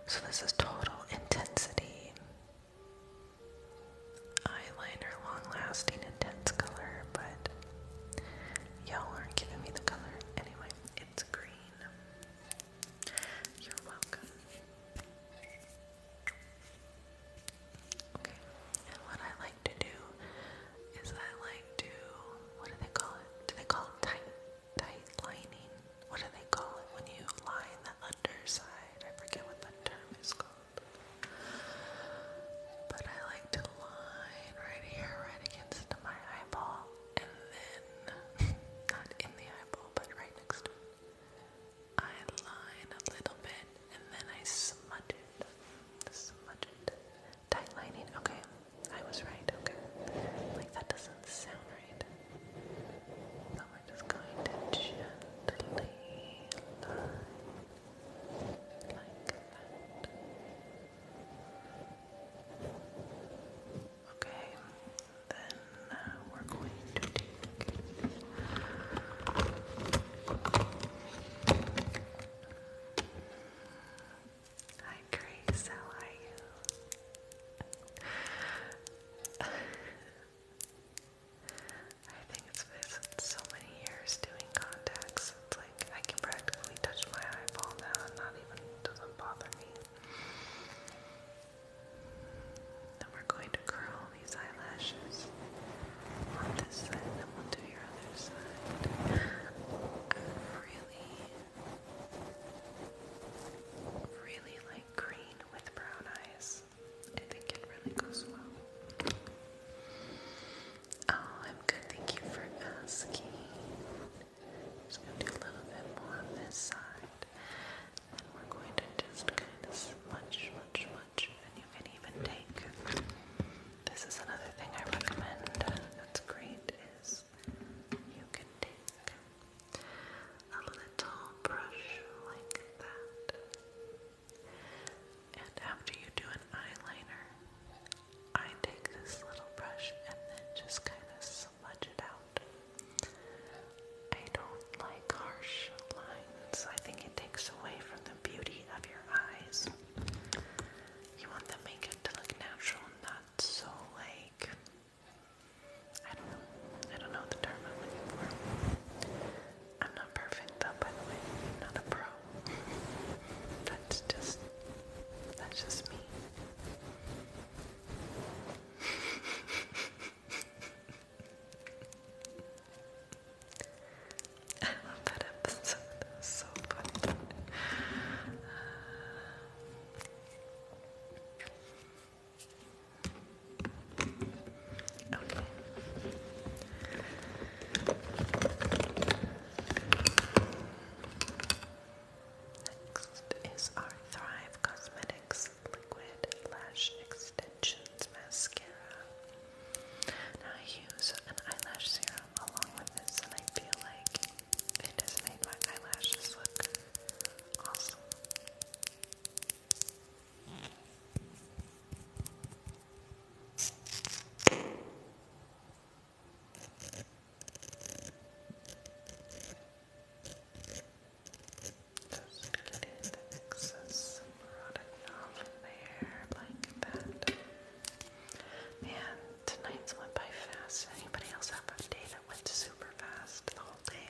so this is total intensity eyeliner long lasting intense color but y'all aren't giving me the color anyway it's green. You're welcome. Okay, and what I like to do is I like to, what do they call it? Do they call it tight, tight lining? What do they call it when you line the underside? I forget what that term is called. But I like to line right here, right against my eyeball and then, [LAUGHS] not in the eyeball, but right next to it, I line a little bit and then I smudge it. Smudge it. Tight Okay, I was right. Okay. Like, that doesn't sound right. So we're just going to gently like that. Okay, then uh, we're going to take. Hi, Grace, how are you? [LAUGHS] I think it's been so many years doing contacts. I can practically touch my eyeball now and not even doesn't bother me. Then we're going to curl these eyelashes on this side, then we'll do your other side. I really, really like green with brown eyes. I think it really goes well. Oh, I'm good. Thank you for asking. Just gonna do a little bit more on this side. And we're going to just kind of smudge, smudge, smudge. And you can even take. This is another thing I recommend. That's great is you can take a little brush like that. And after you do an eyeliner, I take this little brush and then just kind of smudge it out. I don't like harsh lines. I think it takes away from the beauty of your eyes. You want the makeup to look natural, not so like I don't know. I don't know the term I'm looking for. I'm not perfect though, by the way. I'm not a pro. [LAUGHS] that's just that's just me. I love that episode. so funny. Okay. Next is our Thrive Cosmetics Liquid Lash Extensions Mascara. Now I use an eyelash serum along with this and I feel like it has made my eyelashes look awesome. Just getting the excess rotting off of there like that. Man, tonight's went by fast. Anybody else have a day that went super fast the whole day?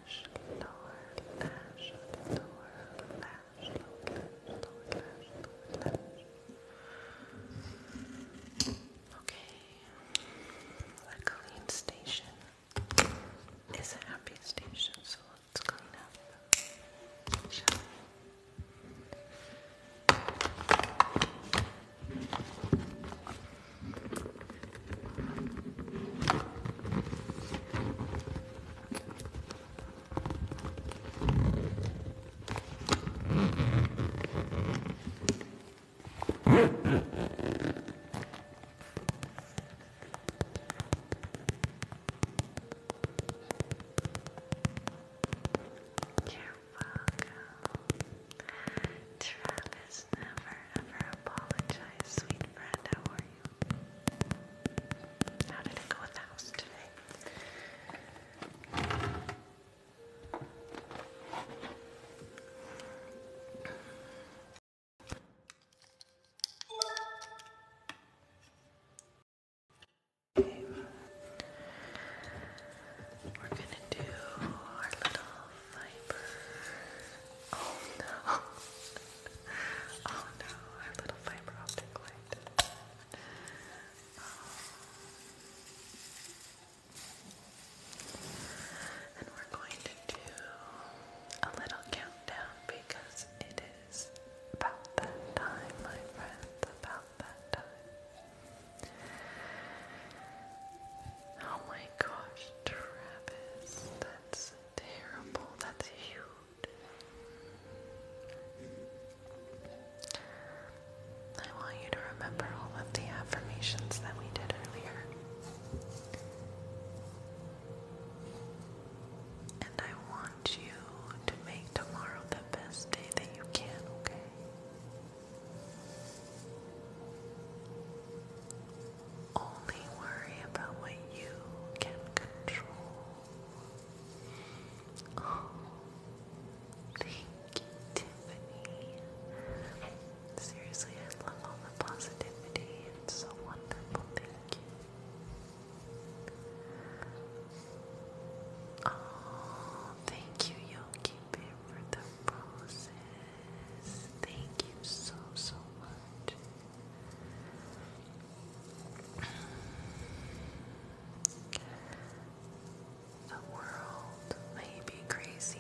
lash, lower Okay, a clean station is a happy station, so let's clean up. You're welcome. Travis never ever apologize, sweet friend. How are you? How did it go with the house today? We're going to do our little fiber. Oh no. Oh no, our little fiber optic light. And we're going to do a little countdown because it is about that time, my friends, about that time. Oh my gosh, Travis, that's terrible. That's huge. I want you to remember all of the affirmations that we did earlier. And I want you to make tomorrow the best day that you can, okay? Only worry about what you can control. Oh, thank you, Tiffany. Seriously, I love all the positivity. It's so wonderful. Thank you. Oh, thank you, Yogi for the roses. Thank you so, so much. The world may be crazy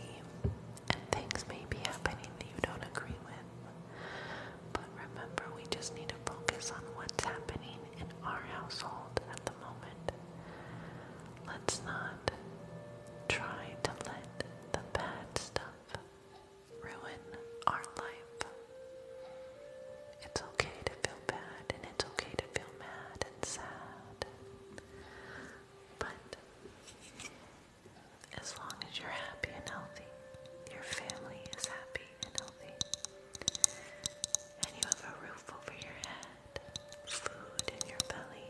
and things may be happening that you don't agree with. But remember, we just need to focus on what's happening in our household at the moment. Let's not try to let the bad stuff ruin our life. It's okay to feel bad and it's okay to feel mad and sad. But as long as you're happy and healthy, your family is happy and healthy, and you have a roof over your head, food in your belly,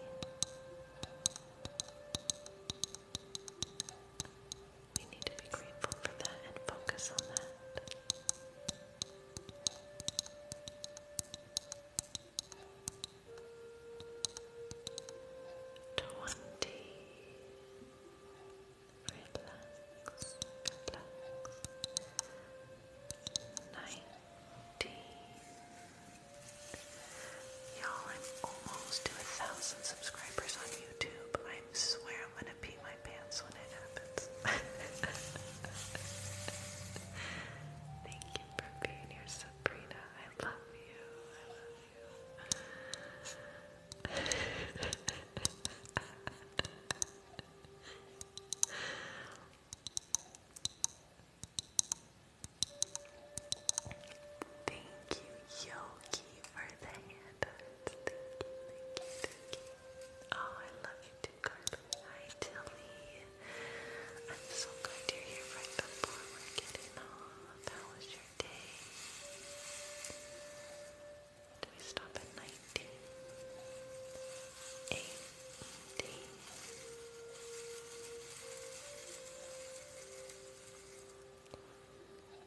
we need to be grateful for that and focus on that. Twenty. Nineteen. Y'all, I'm almost to a thousand subscribers on YouTube. I swear I'm gonna pee my pants when it happens. [LAUGHS] Thank you for being here, Sabrina. I love you. I love you. [LAUGHS] Thank you, Yogi. Thank you, Oh, I love you too, Carly. Hi, Tilly. I'm so glad you're here right before we're getting off. How was your day? Do we stop at 19?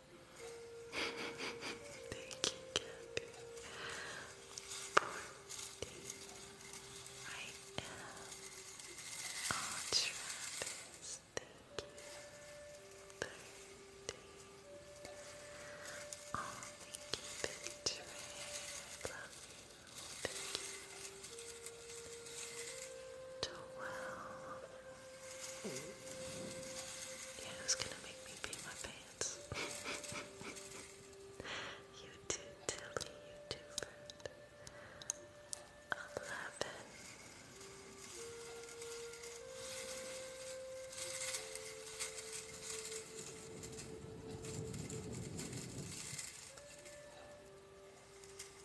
Thank you, Kathy. I am all Travis. Thank you. thank you. Thank you. Twelve. Yeah, who's gonna make me pee my pants? [LAUGHS] you too, Tilly, you too, Fred. Eleven.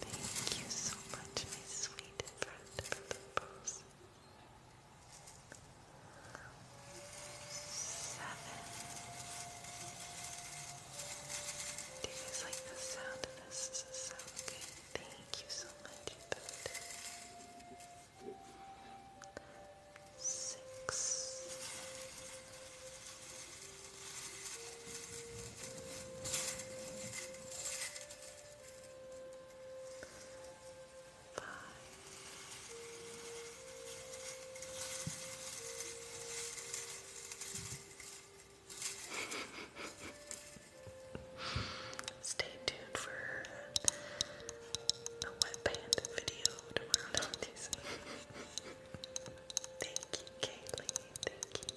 Thank you so much, my sweet friend, for the pose. Seven. Do you guys like the sound of this? This is so good. Thank you so much, Six. [LAUGHS] Stay tuned for a wet band video tomorrow. No, [LAUGHS] thank you, Kaylee. thank you.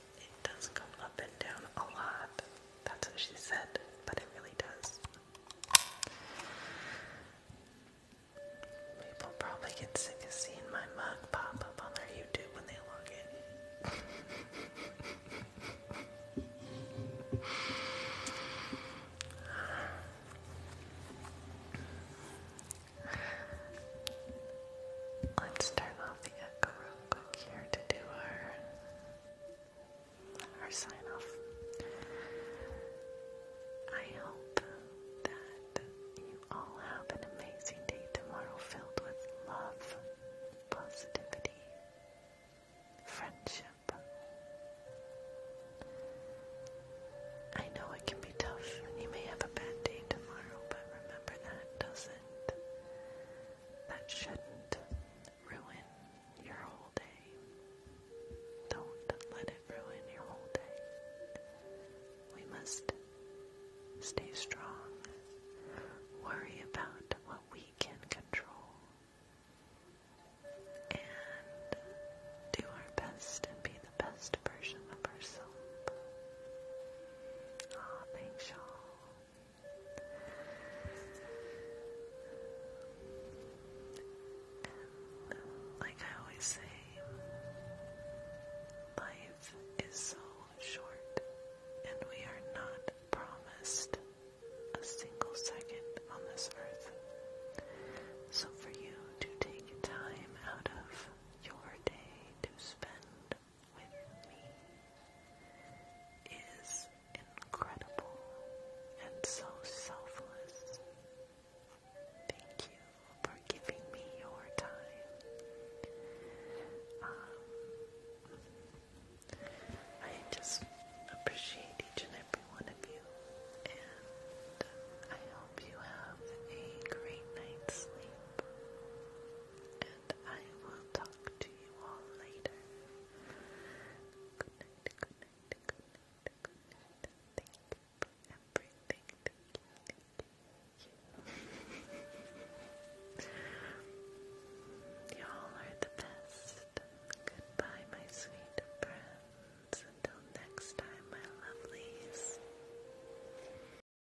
It does go up and down a lot. That's what she said, but it really does. People probably get sick of seeing my mug pop up on their YouTube when they log in. Let's turn off the echo real quick here to do our our sign off. I hope that you all have an amazing day tomorrow filled with love, positivity, friendship. I know it can be tough and you may have a bad day tomorrow, but remember that doesn't that shouldn't ruin your whole day. Don't let it ruin your whole day. We must stay strong, worry about what we can control, and do our best and be the best version of ourselves. Thank you like I always say, life is so short, and we are not promised a single second on this earth. So for you to take time out of your day to spend with me is incredible and so selfless. Thank you for giving me your time. Um, I just appreciate each and every one of you, and I hope you have a great night's sleep and I will talk to you all later. Good night, good night, good night, good night. Thank you for everything. Thank you, thank [LAUGHS] you, thank you. Y'all are the best. Goodbye, my sweet friends. Until next time, my lovelies.